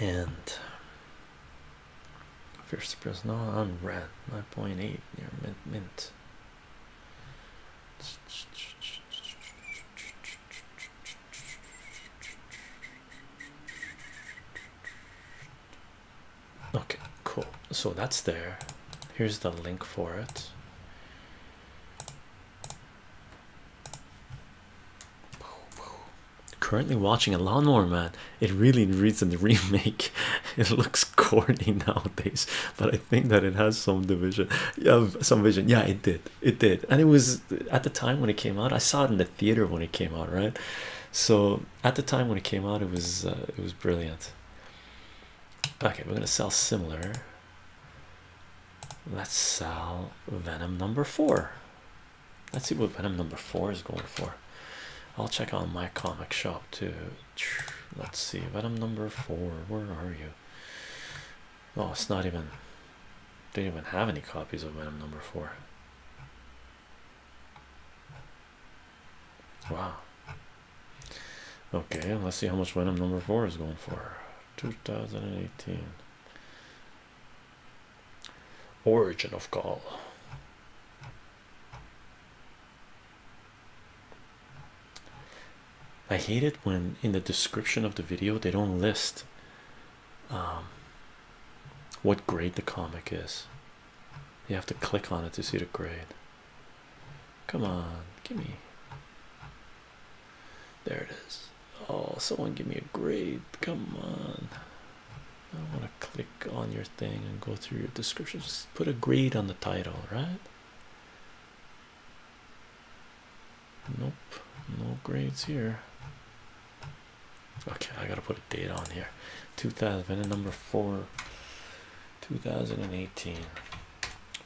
and first press no I'm red 9.8 near mint mint okay cool so that's there here's the link for it Currently watching a lawnmower man. It really reads in the <laughs> remake. It looks corny nowadays, but I think that it has some division. Yeah, some vision. Yeah, it did. It did. And it was at the time when it came out. I saw it in the theater when it came out, right? So at the time when it came out, it was uh, it was brilliant. Okay, we're gonna sell similar. Let's sell Venom number four. Let's see what Venom number four is going for. I'll check on my comic shop too. Let's see, Venom number four. Where are you? Oh, it's not even. They don't even have any copies of Venom number four. Wow. Okay, let's see how much Venom number four is going for. 2018. Origin of Gaul. I hate it when in the description of the video they don't list um, what grade the comic is. You have to click on it to see the grade. Come on, give me there it is. Oh, someone give me a grade. Come on. I want to click on your thing and go through your description. Just put a grade on the title, right? Nope, no grades here. Okay, I gotta put a date on here 2000 and number four 2018.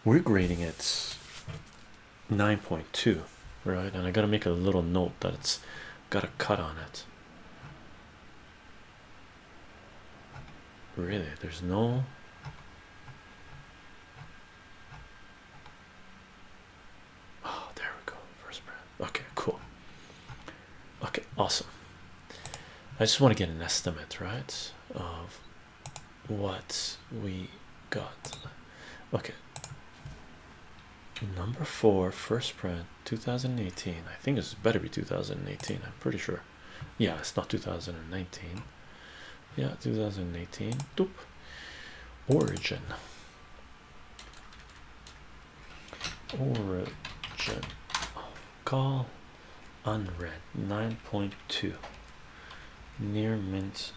We're grading it 9.2 right and i gotta make a little note that it's got a cut on it really there's no oh there we go first brand okay cool okay awesome i just want to get an estimate right of what we got okay number four first print 2018 i think it's better be 2018 i'm pretty sure yeah it's not 2019 yeah 2018 Doop. origin origin call unread 9.2 near mint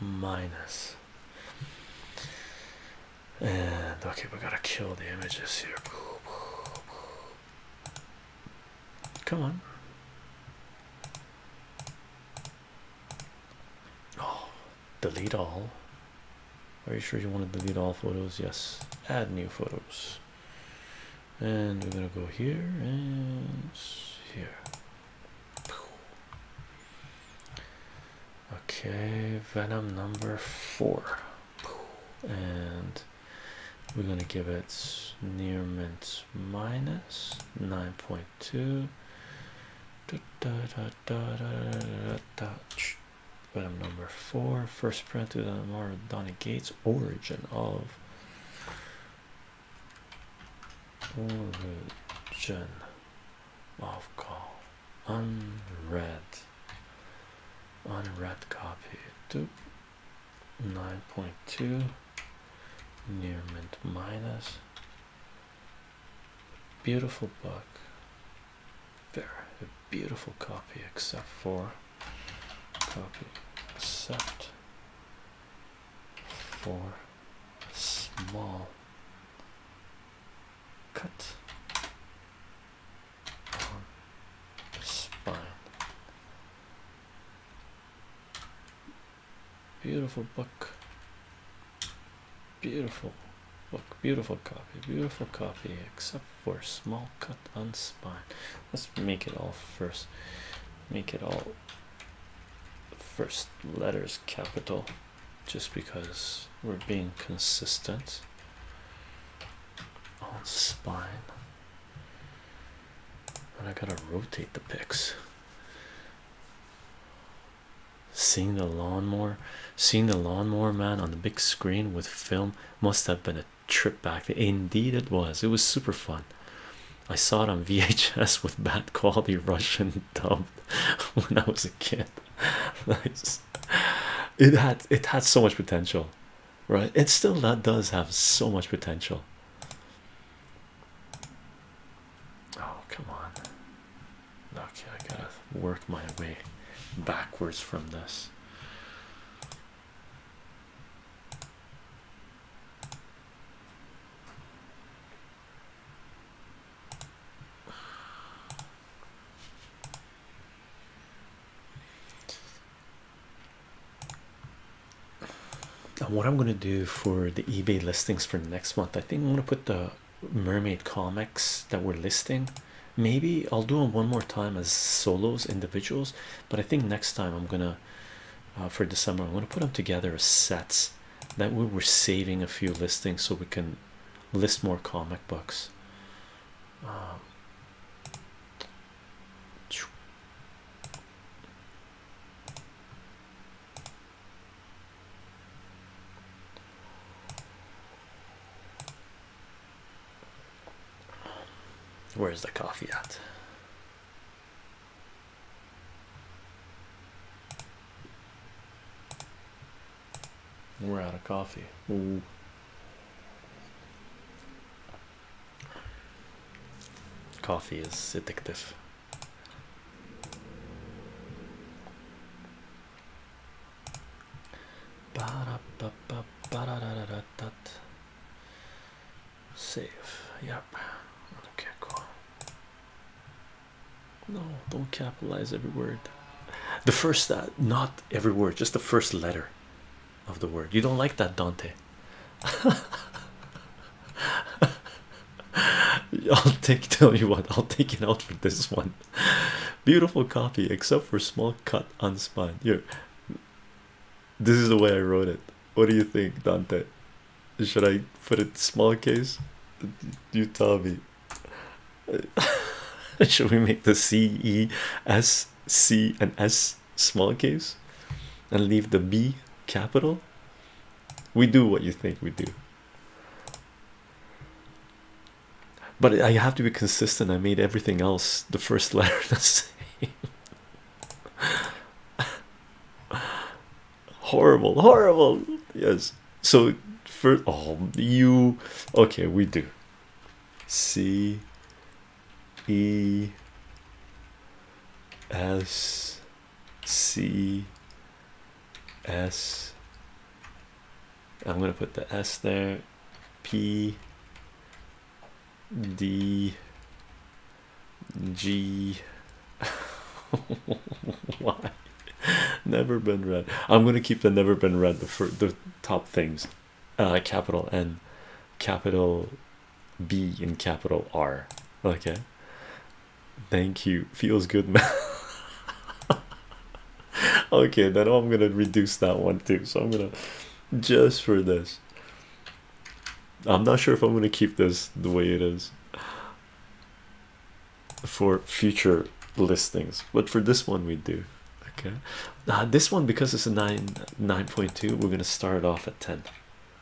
minus and okay we gotta kill the images here come on oh delete all are you sure you want to delete all photos yes add new photos and we're gonna go here and here Okay, Venom number four, and we're gonna give it near mint minus nine point two. Venom number four, first print to the Gates origin of origin of call unread unread copy to 9.2 near mint minus beautiful book very beautiful copy except for copy except for small cut on spine. Beautiful book. Beautiful book. Beautiful copy. Beautiful copy, except for small cut on spine. Let's make it all first. Make it all first letters capital just because we're being consistent on spine. but I gotta rotate the picks. Seeing the lawnmower, seeing the lawnmower man on the big screen with film must have been a trip back. Indeed, it was. It was super fun. I saw it on VHS <laughs> with bad quality Russian <laughs> dub. <laughs> when I was a kid. <laughs> It had it had so much potential, right? It still that does have so much potential. Oh come on. Okay, I gotta work my way backwards from this. And what I'm gonna do for the eBay listings for next month, I think I'm gonna put the mermaid comics that we're listing. Maybe I'll do them one more time as solos, individuals, but I think next time I'm gonna uh, for the summer, I'm gonna put them together as sets that we are saving a few listings so we can list more comic books. Um, where's the coffee at? We're out of coffee. Coffee is addictive. Save. Yep. Okay, cool. No, don't capitalize every word. The first, uh, not every word, just the first letter of the word. You don't like that, Dante. <laughs> I'll take, tell you what, I'll take it out for this one. Beautiful copy, except for small cut unspun. Here, this is the way I wrote it. What do you think, Dante? Should I put it small case? You tell me. <laughs> Should we make the C, E, S, C, and S small case and leave the B capital? We do what you think we do, but I have to be consistent. I made everything else the first <laughs> letter the same horrible horrible yes so first, oh you okay we do c e s c s i'm going to put the s there P. D. G. <laughs> Y. <laughs> never been read. I'm gonna keep the never been read the for the top things, uh, capital N, capital B, and capital R. Okay, thank you. Feels good, man. <laughs> okay, then I'm gonna reduce that one too. So I'm gonna just for this. I'm not sure if I'm gonna keep this the way it is for future listings but for this one we do okay uh, this one because it's a 9 9.2 we're gonna start off at 10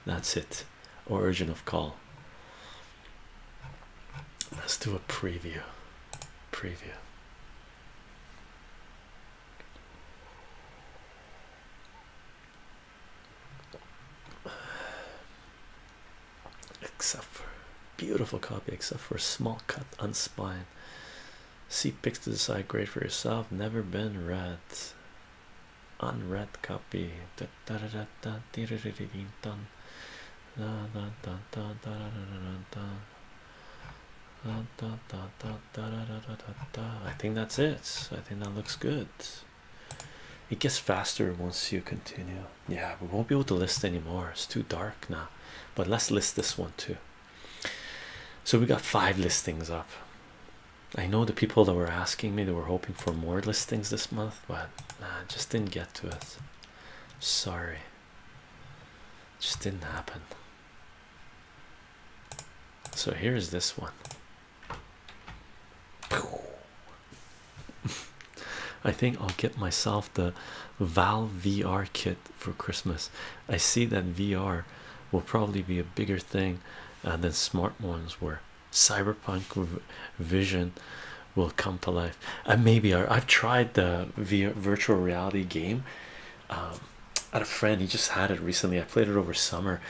that's it origin of call let's do a preview preview except for beautiful copy, except for small cut on See pics to decide great for yourself. Never been read. Unread copy. I think that's it. I think that looks good. It gets faster once you continue yeah we won't be able to list anymore it's too dark now but let's list this one too so we got five listings up i know the people that were asking me they were hoping for more listings this month but nah, just didn't get to it sorry just didn't happen so here's this one <laughs> I think I'll get myself the Valve VR kit for Christmas. I see that VR will probably be a bigger thing uh, than smart ones were. Cyberpunk Vision will come to life. Uh, maybe I've tried the virtual reality game. at um, a friend, he just had it recently. I played it over summer,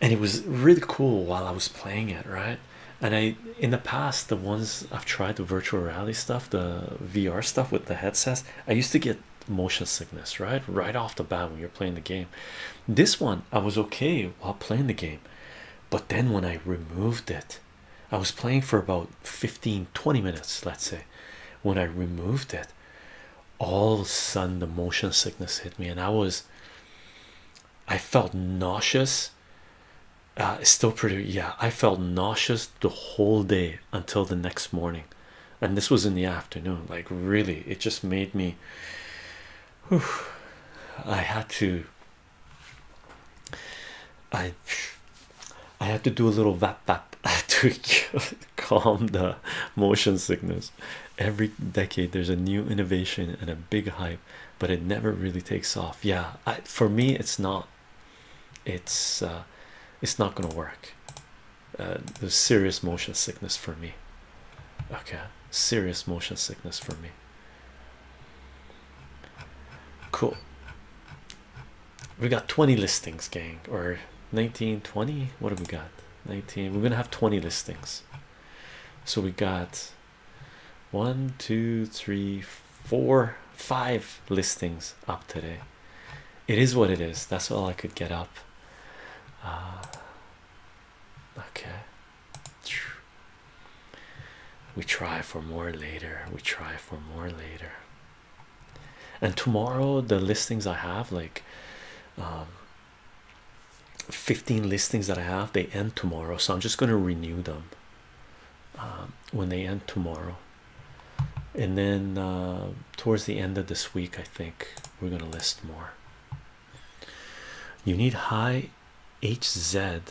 and it was really cool while I was playing it, right? and I in the past the ones I've tried the virtual reality stuff the VR stuff with the headsets I used to get motion sickness right right off the bat when you're playing the game this one I was okay while playing the game but then when I removed it I was playing for about 15 20 minutes let's say when I removed it all of a sudden the motion sickness hit me and I was I felt nauseous uh, it's still pretty yeah i felt nauseous the whole day until the next morning and this was in the afternoon like really it just made me i had to i i had to do a little vap vap <laughs> to <laughs> calm the motion sickness every decade there's a new innovation and a big hype but it never really takes off yeah for me it's not it's uh, it's not gonna work. Uh, there's serious motion sickness for me. Okay, serious motion sickness for me. Cool. We got 20 listings, gang, or 19, 20. What have we got? 19. We're gonna have 20 listings. So we got one, two, three, four five listings up today it is what it is that's all i could get up uh, okay we try for more later we try for more later and tomorrow the listings i have like um, 15 listings that i have they end tomorrow so i'm just going to renew them um, when they end tomorrow and then uh, towards the end of this week i think we're going to list more you need high hz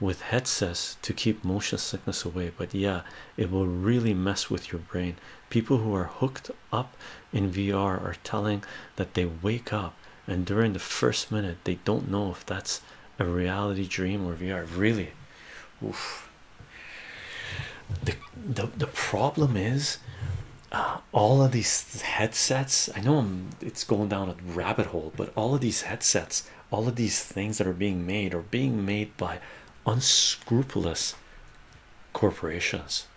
with headsets to keep motion sickness away but yeah it will really mess with your brain people who are hooked up in vr are telling that they wake up and during the first minute they don't know if that's a reality dream or vr really Oof. The, the the problem is uh, all of these headsets i know it's going down a rabbit hole but all of these headsets all of these things that are being made are being made by unscrupulous corporations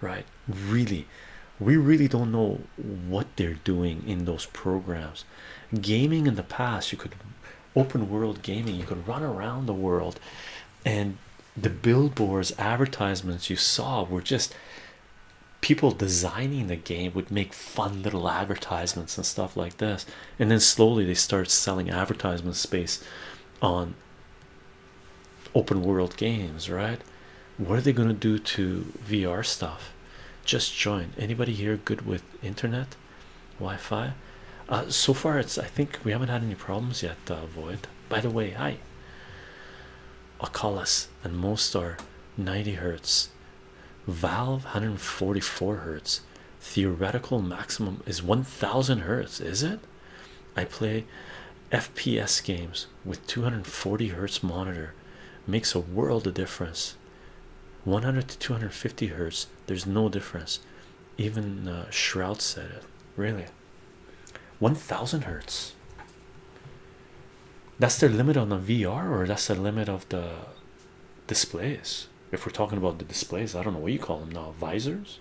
right really we really don't know what they're doing in those programs gaming in the past you could open world gaming you could run around the world and the billboards advertisements you saw were just people designing the game would make fun little advertisements and stuff like this and then slowly they start selling advertisement space on open world games right what are they going to do to vr stuff just join anybody here good with internet Wi-Fi. Uh, so far, it's I think we haven't had any problems yet. Uh, Void. By the way, hi. Oculus and most are 90 hertz. Valve 144 hertz. Theoretical maximum is 1,000 hertz. Is it? I play FPS games with 240 hertz monitor. Makes a world of difference. 100 to 250 hertz there's no difference even uh, said it really 1000 hertz that's their limit on the vr or that's the limit of the displays if we're talking about the displays i don't know what you call them now visors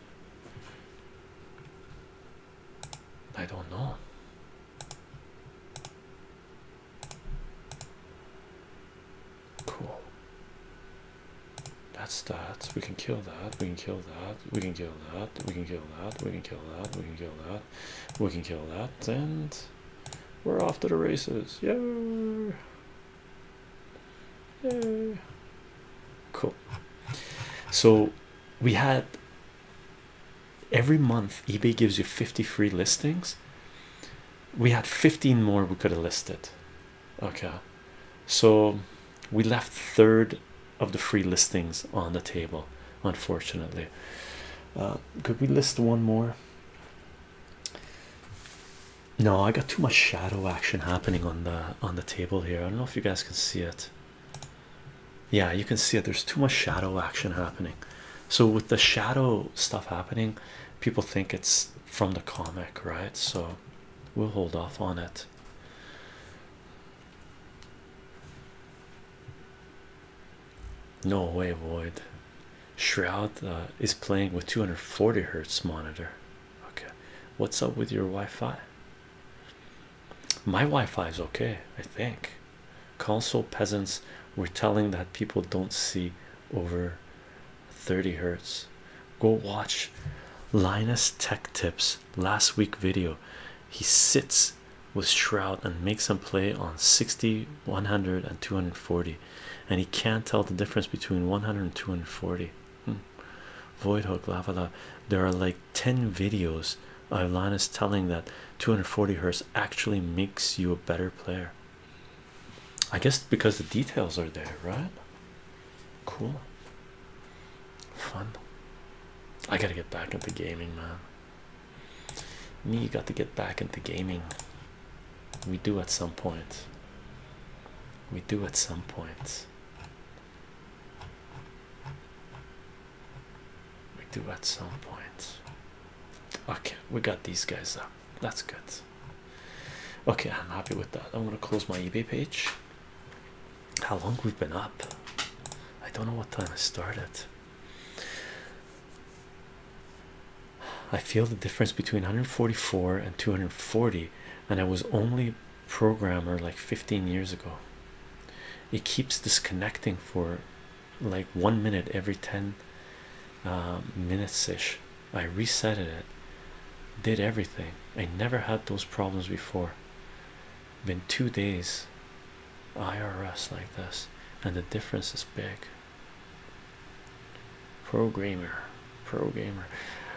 i don't know Cool. That's that. We can kill that. We can kill that. We can kill that. We can kill that. We can kill that. We can kill that. We can kill that. And we're off to the races. Yeah. Yeah. Cool. So we had every month eBay gives you 50 free listings we had 15 more we could have listed okay so we left third of the free listings on the table unfortunately uh, could we list one more no i got too much shadow action happening on the on the table here i don't know if you guys can see it yeah you can see it there's too much shadow action happening so with the shadow stuff happening people think it's from the comic, right? So we'll hold off on it. No way, Void. Shroud uh, is playing with 240 hertz monitor. Okay, what's up with your Wi Fi? My Wi Fi is okay, I think. Console peasants were telling that people don't see over 30 hertz go watch linus tech tips last week video he sits with shroud and makes him play on 60 100 and 240 and he can't tell the difference between 100 and 240 hmm. void hook lava there are like 10 videos of linus telling that 240 hertz actually makes you a better player I guess because the details are there, right? Cool, fun. I gotta get back into gaming, man. Me, you got to get back into gaming. We do at some point, we do at some point. We do at some point. Okay, we got these guys up. That's good. Okay, I'm happy with that. I'm gonna close my eBay page. How long we've been up? I don't know what time I started. I feel the difference between 144 and 240, and I was only programmer like 15 years ago. It keeps disconnecting for like one minute every 10 uh, minutes ish. I reset it, did everything. I never had those problems before. Been two days IRS like this, and the difference is big. Programmer, programmer.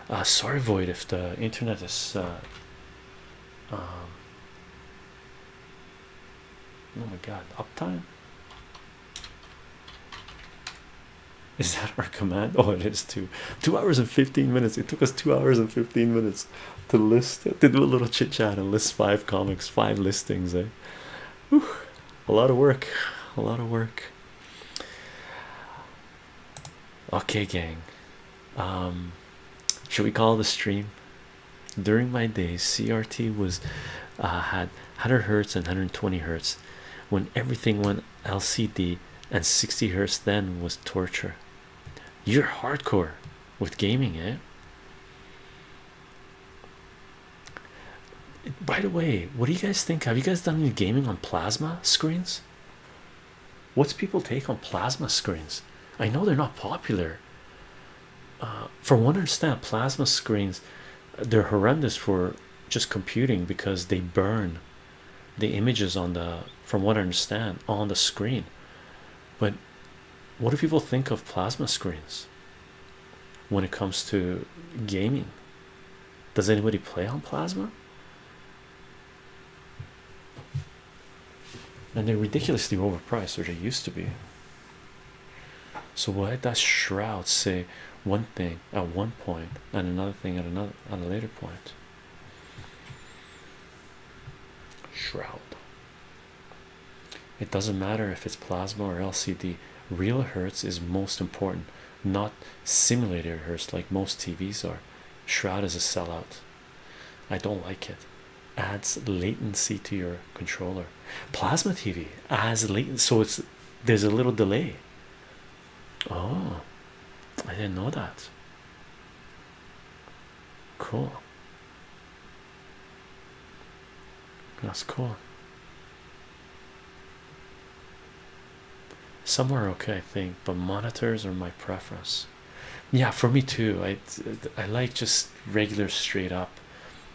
Uh, sorry, Void, if the internet is. Uh, um, oh my god, uptime. Is that our command? Oh, it is too. Two hours and 15 minutes. It took us two hours and 15 minutes to list, to do a little chit chat and list five comics, five listings. Eh? A lot of work. A lot of work. Okay, gang. Um, should we call the stream? During my days, CRT was uh, had 100 hertz and 120 hertz. When everything went LCD and 60 hertz then was torture. You're hardcore with gaming, eh? By the way, what do you guys think? Have you guys done any gaming on plasma screens? What's people take on plasma screens? I know they're not popular. Uh, for one, understand plasma screens they're horrendous for just computing because they burn the images on the from what I understand on the screen. But what do people think of plasma screens when it comes to gaming? Does anybody play on plasma? And they're ridiculously overpriced, or they used to be. So why does Shroud say one thing at one point and another thing at another at a later point. Shroud. It doesn't matter if it's plasma or LCD. Real hertz is most important, not simulated hertz like most TVs are. Shroud is a sellout. I don't like it. Adds latency to your controller. Plasma TV adds latency, so it's there's a little delay. Oh, I didn't know that. Cool. That's cool. Somewhere okay, I think, but monitors are my preference. Yeah, for me too. I I like just regular straight up.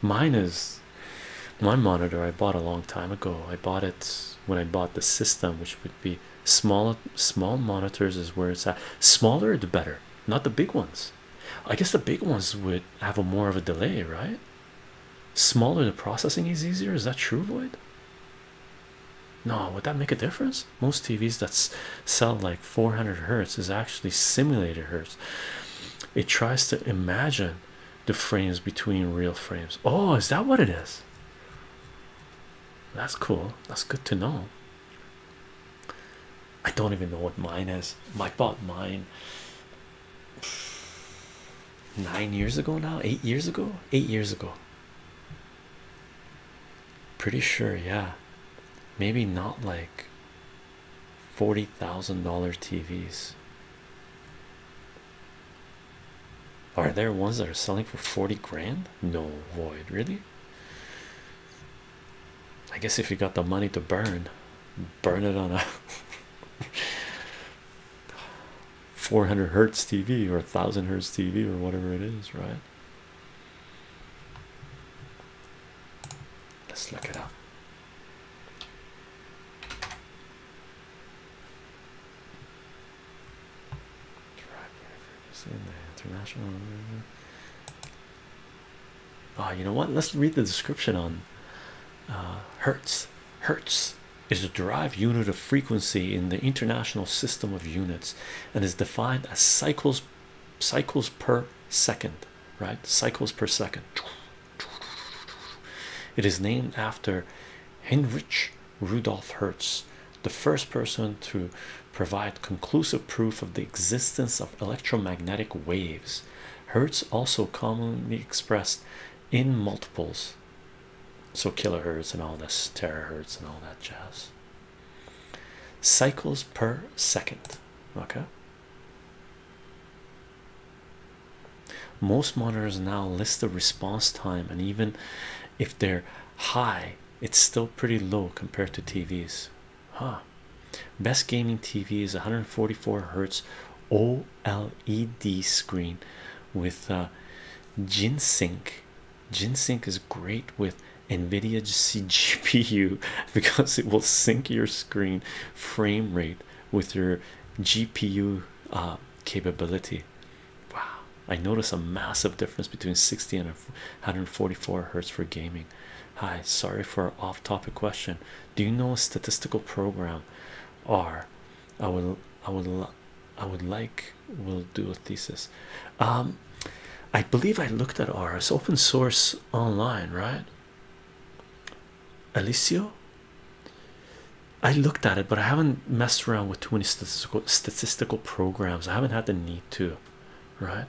Mine is my monitor I bought a long time ago. I bought it when I bought the system, which would be small small monitors is where it's at. Smaller the better, not the big ones. I guess the big ones would have a more of a delay, right? Smaller the processing is easier. Is that true, Void? No, would that make a difference? Most TVs that sell like 400 hertz is actually simulated hertz. It tries to imagine the frames between real frames. Oh, is that what it is? That's cool. That's good to know. I don't even know what mine is. My bought mine nine years ago now, eight years ago, eight years ago. Pretty sure, yeah. Maybe not like forty thousand dollar TVs. Are there ones that are selling for 40 grand? No, void, really. I guess if you got the money to burn, burn it on a <laughs> 400 hertz TV or 1000 hertz TV or whatever it is, right? Let's look it up. Track is in the international. Oh, you know what? Let's read the description on uh, Hertz. Hertz is a derived unit of frequency in the international system of units and is defined as cycles cycles per second, right? Cycles per second. It is named after Heinrich Rudolf Hertz, the first person to provide conclusive proof of the existence of electromagnetic waves. Hertz also commonly expressed in multiples, so kilohertz and all this, terahertz and all that jazz. Cycles per second, okay. Most monitors now list the response time, and even if they're high, it's still pretty low compared to TVs. Huh. Best gaming TV is 144 hertz OLED screen with G-Sync. Uh, G-Sync is great with NVIDIA GPU <laughs> <laughs> because it will sync your screen frame rate with your GPU uh, capability. Wow, I notice a massive difference between 60 and 144 hertz for gaming. Hi, sorry for off topic question. Do you know a statistical program? R, I will, I would, I would like, we'll do a thesis. Um, I believe I looked at R, as open source online, right? Alicio, I looked at it, but I haven't messed around with too many statistical statistical programs. I haven't had the need to, right?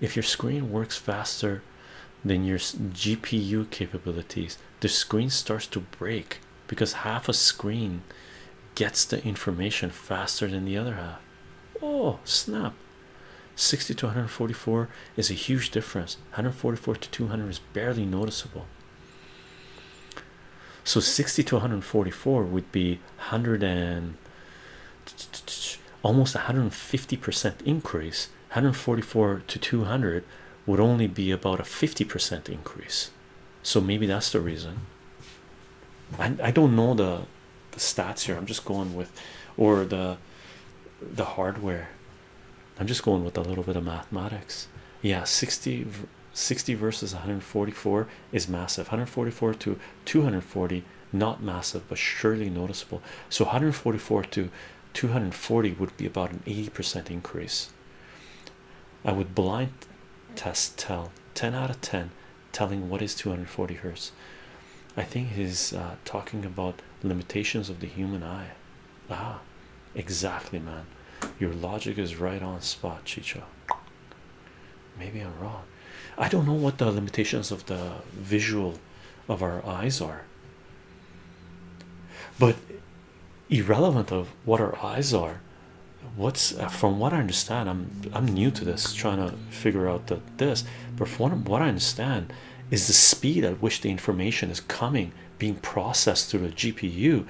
If your screen works faster than your GPU capabilities, the screen starts to break because half a screen gets the information faster than the other half. Oh snap! 60 to 144 is a huge difference. 144 to 200 is barely noticeable so 60 to 144 would be 100 and almost 150 percent increase 144 to 200 would only be about a 50 percent increase so maybe that's the reason i, I don't know the, the stats here i'm just going with or the the hardware i'm just going with a little bit of mathematics yeah 60 60 versus 144 is massive 144 to 240 not massive but surely noticeable so 144 to 240 would be about an 80% increase i would blind test tell 10 out of 10 telling what is 240 hertz i think he's uh, talking about limitations of the human eye ah Exactly, man. Your logic is right on spot, Chicho. Maybe I'm wrong. I don't know what the limitations of the visual of our eyes are, but irrelevant of what our eyes are. What's from what I understand, I'm I'm new to this, trying to figure out this, but from what I understand, is the speed at which the information is coming, being processed through the GPU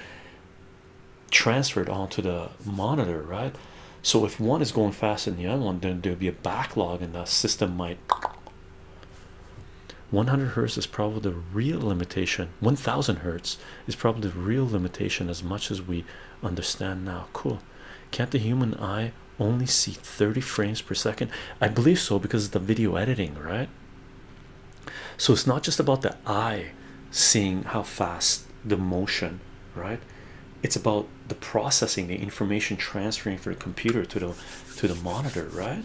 transferred onto the monitor, right? So if one is going faster than the other one, then there'll be a backlog, and the system might. 100 hertz is probably the real limitation. 1000 hertz is probably the real limitation, as much as we understand now. Cool. Can't the human eye only see 30 frames per second? I believe so because of the video editing, right? so it's not just about the eye seeing how fast the motion right it's about the processing the information transferring from the computer to the to the monitor right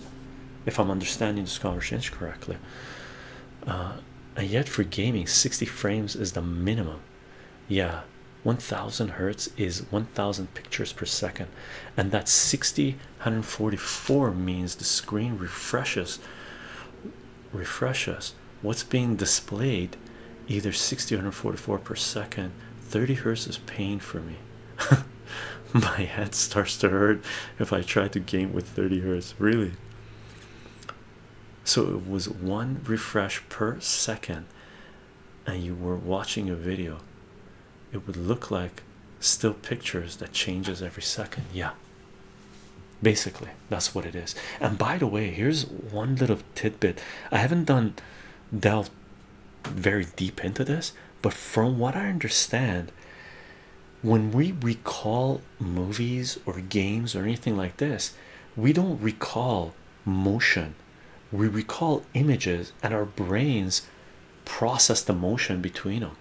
if i'm understanding this conversation correctly uh, and yet for gaming 60 frames is the minimum yeah 1000 hertz is 1000 pictures per second and that 60 144 means the screen refreshes refreshes what's being displayed either 60 144 per second 30 hertz is pain for me <laughs> my head starts to hurt if i try to game with 30 hertz really so it was one refresh per second and you were watching a video it would look like still pictures that changes every second yeah basically that's what it is and by the way here's one little tidbit i haven't done delved very deep into this but from what i understand when we recall movies or games or anything like this we don't recall motion we recall images and our brains process the motion between them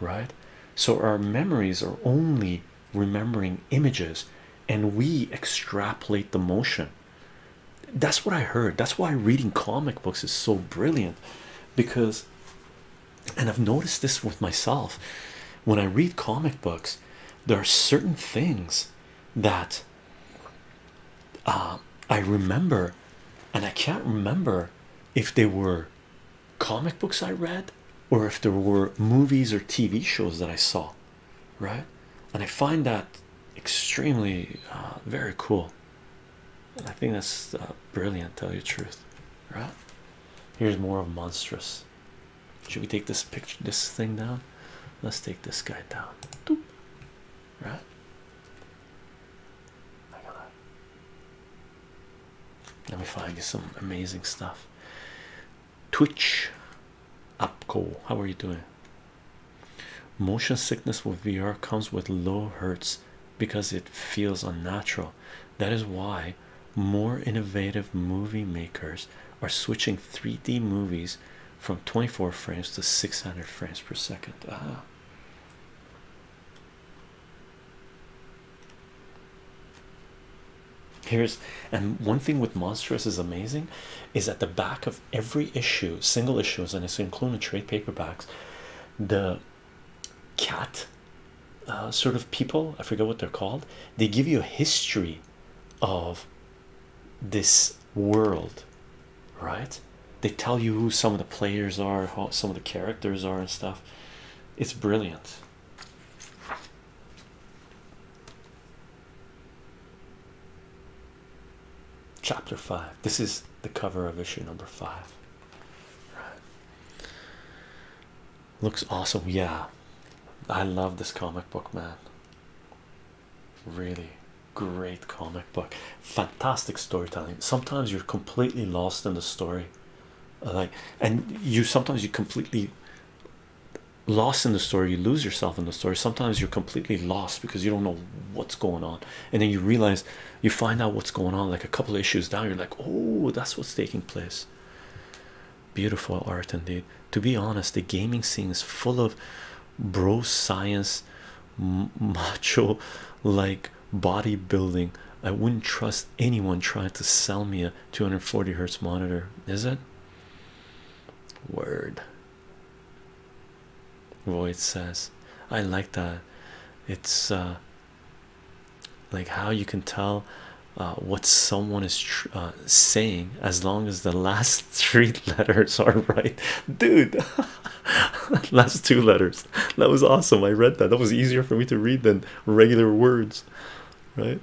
right so our memories are only remembering images and we extrapolate the motion that's what i heard that's why reading comic books is so brilliant because and i've noticed this with myself when i read comic books there are certain things that uh, i remember and i can't remember if they were comic books I read or if there were movies or TV shows that I saw, right? And I find that extremely uh, very cool. And I think that's uh, brilliant, tell you the truth, right? Here's more of monstrous. Should we take this picture, this thing down? Let's take this guy down, right? Let me find you some amazing stuff. Twitch Upco, how are you doing? Motion sickness with VR comes with low hertz because it feels unnatural. That is why more innovative movie makers are switching 3D movies from 24 frames to 600 frames per second. Ah. Here's and one thing with monstrous is amazing is at the back of every issue, single issues, and it's including trade paperbacks, the cat uh, sort of people I forget what they're called, they give you a history of this world, right? They tell you who some of the players are, how some of the characters are, and stuff. It's brilliant. Chapter 5. This is the cover of issue number 5. Looks awesome. Yeah. I love this comic book, man. Really great comic book. Fantastic storytelling. Sometimes you're completely lost in the story. Like and you sometimes you completely lost in the story you lose yourself in the story sometimes you're completely lost because you don't know what's going on and then you realize you find out what's going on like a couple issues down you're like oh that's what's taking place beautiful art indeed to be honest the gaming scene is full of bro science macho like bodybuilding i wouldn't trust anyone trying to sell me a 240 hertz monitor is it word Voice says i like that it's uh, like how you can tell uh, what someone is uh, saying as long as the last <laughs> three letters are right dude <laughs> last two letters that was awesome i read that that was easier for me to read than regular words right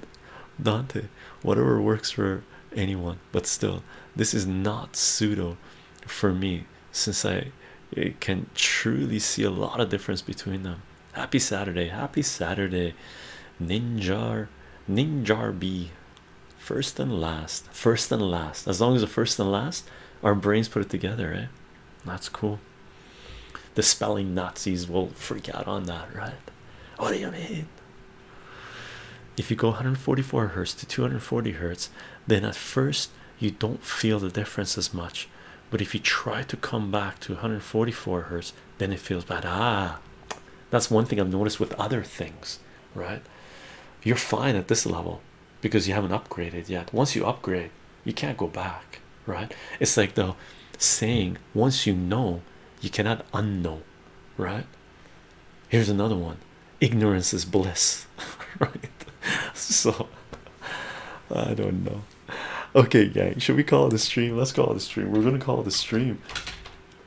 Dante, whatever works for anyone, but still, this is not pseudo for me since I can truly see a lot of difference between them. Happy Saturday, happy Saturday, Ninjar, Ninjar B. First and last, first and last. As long as the first and last, our brains put it together, eh? That's cool. The spelling Nazis will freak out on that, right? What do you mean? If you go 144 hertz to 240 hertz, then at first you don't feel the difference as much. But if you try to come back to 144 hertz, then it feels bad. Ah, that's one thing I've noticed with other things, right? You're fine at this level because you haven't upgraded yet. Once you upgrade, you can't go back, right? It's like the saying, once you know, you cannot unknow, right? Here's another one ignorance is bliss, <laughs> right? So, I don't know. Okay, gang, should we call it a stream? Let's call it a stream. We're gonna call it a stream,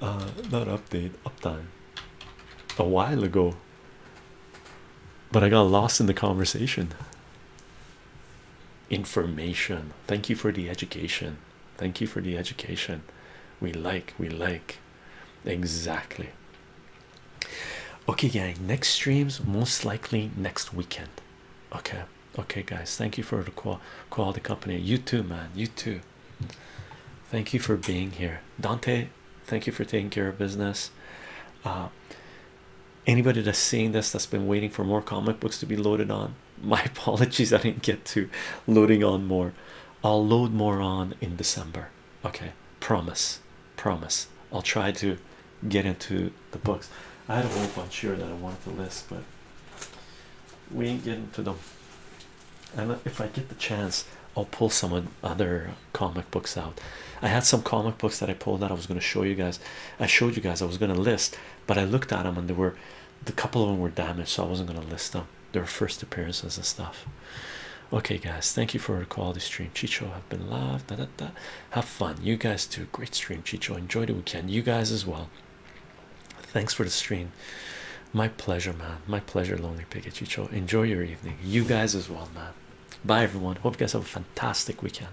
uh, not update, uptime a while ago, but I got lost in the conversation. Information, thank you for the education. Thank you for the education. We like, we like. Exactly. Okay, gang. Next streams, most likely next weekend. Okay, okay, guys. Thank you for the call, call company. You too, man. You too. Thank you for being here, Dante. Thank you for taking care of business. Uh, anybody that's seeing this that's been waiting for more comic books to be loaded on <laughs> my apologies i didn't get to loading on more i'll load more on in december okay promise promise i'll try to get into the books i had a whole bunch here that i wanted to list but we ain't getting to them and if i get the chance i'll pull some other comic books out i had some comic books that i pulled that i was going to show you guys i showed you guys i was going to list but i looked at them and they were the couple of them were damaged, so I wasn't gonna list them. Their first appearances and stuff. Okay, guys, thank you for the quality stream. Chicho, have been loved, Da, da, da. Have fun. You guys too. Great stream, Chicho. Enjoy the weekend. You guys as well. Thanks for the stream. My pleasure, man. My pleasure, Lonely Picket Chicho. Enjoy your evening. You guys as well, man. Bye, everyone. Hope you guys have a fantastic weekend.